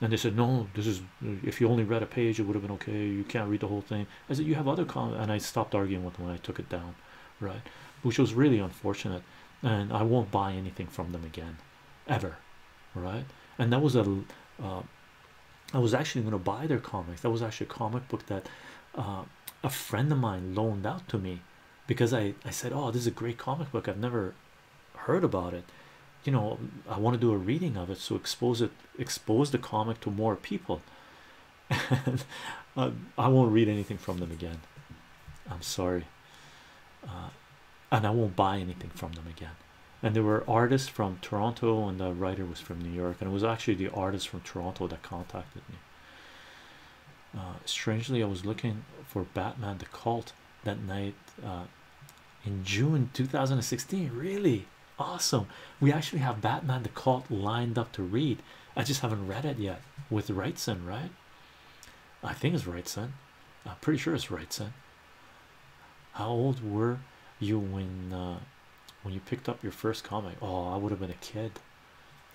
and they said no this is if you only read a page it would have been okay you can't read the whole thing i said you have other comments and i stopped arguing with them when i took it down right which was really unfortunate and i won't buy anything from them again ever right and that was a uh, I was actually going to buy their comics. That was actually a comic book that uh, a friend of mine loaned out to me because I, I said, Oh, this is a great comic book. I've never heard about it. You know, I want to do a reading of it. So expose it, expose the comic to more people. Uh, I won't read anything from them again. I'm sorry. Uh, and I won't buy anything from them again and there were artists from Toronto and the writer was from New York and it was actually the artist from Toronto that contacted me uh, strangely I was looking for Batman the Cult that night uh, in June 2016 really awesome we actually have Batman the Cult lined up to read I just haven't read it yet with Wrightson right I think it's Wrightson I'm pretty sure it's right son how old were you when uh, when you picked up your first comic oh I would have been a kid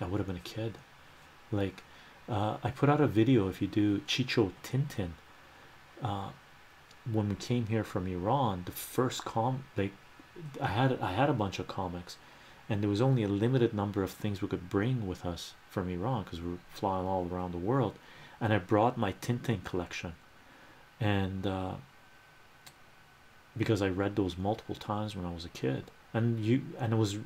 I would have been a kid like uh, I put out a video if you do Chicho Tintin uh, when we came here from Iran the first com like I had I had a bunch of comics and there was only a limited number of things we could bring with us from Iran because we were flying all around the world and I brought my Tintin collection and uh, because I read those multiple times when I was a kid and you and I was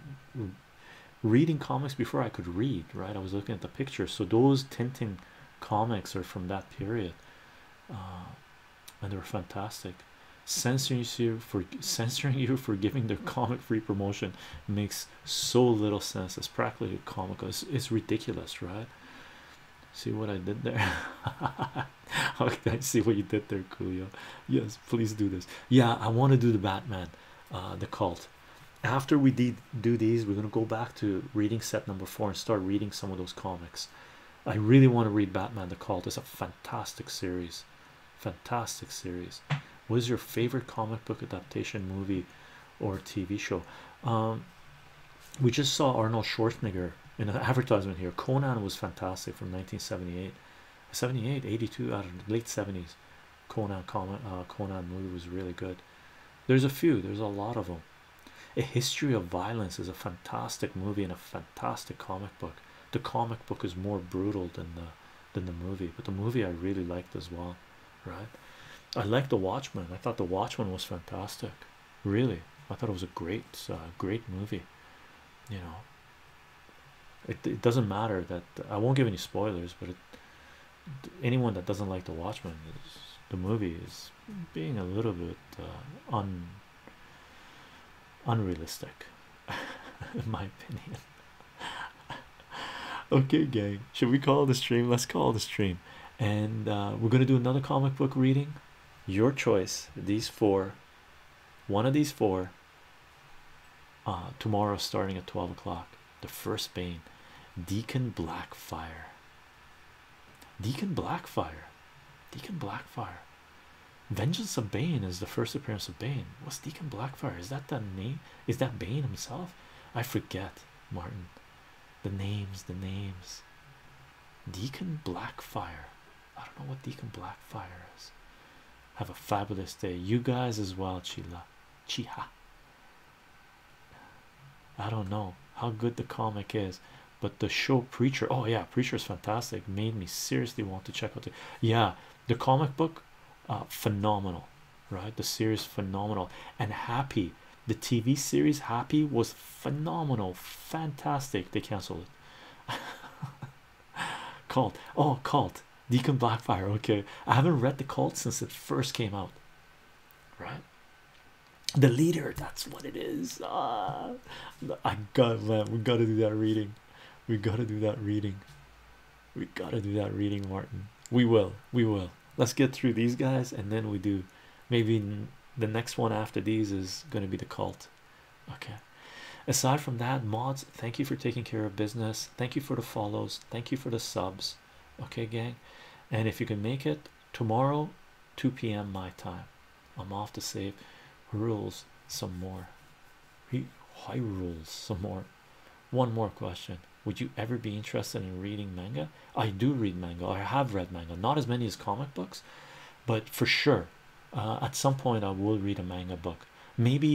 reading comics before I could read right I was looking at the pictures so those tinting comics are from that period uh, and they were fantastic censoring you for censoring you for giving their comic free promotion makes so little sense it's practically comical it's ridiculous right See what I did there? okay, I see what you did there, Julio. Yes, please do this. Yeah, I want to do the Batman, uh, the cult. After we did do these, we're gonna go back to reading set number four and start reading some of those comics. I really want to read Batman the Cult. It's a fantastic series. Fantastic series. What is your favorite comic book adaptation movie or TV show? Um we just saw Arnold Schwarzenegger in an advertisement here. Conan was fantastic from 1978, 78, 82, out of the late 70s. Conan, Conan, uh, Conan movie was really good. There's a few, there's a lot of them. A History of Violence is a fantastic movie and a fantastic comic book. The comic book is more brutal than the than the movie, but the movie I really liked as well right? I like The Watchmen. I thought The Watchmen was fantastic. Really, I thought it was a great, uh, great movie. You know, it, doesn't matter that I won't give any spoilers, but anyone that doesn't like The Watchmen, is, the movie is being a little bit uh, un unrealistic, in my opinion. okay, gang, should we call the stream? Let's call the stream and uh, we're going to do another comic book reading your choice these four one of these four uh, tomorrow starting at 12 o'clock the first bane deacon blackfire deacon blackfire deacon blackfire vengeance of bane is the first appearance of bane Was deacon blackfire is that the name is that bane himself i forget martin the names, the names. Deacon Blackfire. I don't know what Deacon Blackfire is. Have a fabulous day. You guys as well, Chila. Chiha. I don't know how good the comic is, but the show Preacher. Oh yeah, Preacher is fantastic. Made me seriously want to check out the yeah the comic book. Uh, phenomenal, right? The series phenomenal and happy the TV series Happy was phenomenal, fantastic. They canceled it. Cult, oh, Cult, Deacon Blackfire. Okay, I haven't read the Cult since it first came out, right? The leader, that's what it is. Ah. I got to man, we gotta do that reading. We gotta do that reading. We gotta do that reading, Martin. We will, we will let's get through these guys and then we do maybe the next one after these is going to be the cult okay aside from that mods thank you for taking care of business thank you for the follows thank you for the subs okay gang and if you can make it tomorrow 2 p.m my time i'm off to save rules some more high rules some more one more question would you ever be interested in reading manga i do read manga i have read manga not as many as comic books but for sure uh, at some point i will read a manga book maybe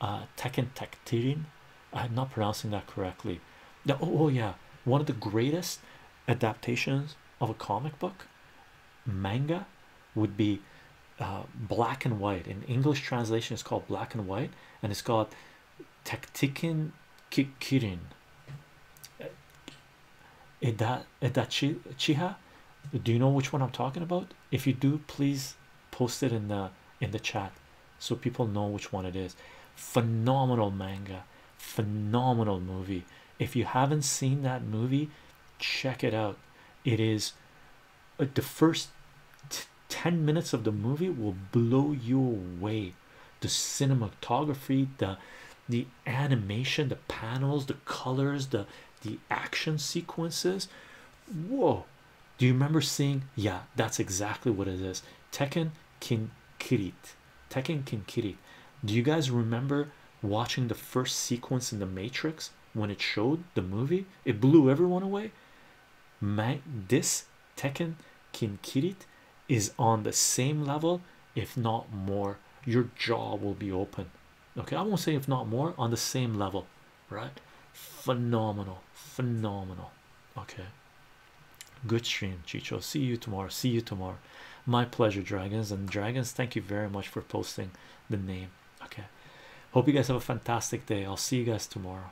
uh, tekken tektirin i'm not pronouncing that correctly oh, oh, yeah one of the greatest adaptations of a comic book manga would be uh, black and white in english translation it's called black and white and it's called. Taktikin Kikirin Ida, Idachiha do you know which one I'm talking about if you do please post it in the in the chat so people know which one it is phenomenal manga phenomenal movie if you haven't seen that movie check it out it is uh, the first 10 minutes of the movie will blow you away the cinematography the the animation the panels the colors the the action sequences whoa do you remember seeing yeah that's exactly what it is Tekken King Kirit Tekken King Kirit do you guys remember watching the first sequence in the Matrix when it showed the movie it blew everyone away Might this Tekken Kinkirit is on the same level, if not more. Your jaw will be open. Okay, I won't say if not more on the same level, right? Phenomenal, phenomenal. Okay, good stream, Chicho. See you tomorrow. See you tomorrow. My pleasure, Dragons and Dragons. Thank you very much for posting the name. Okay, hope you guys have a fantastic day. I'll see you guys tomorrow.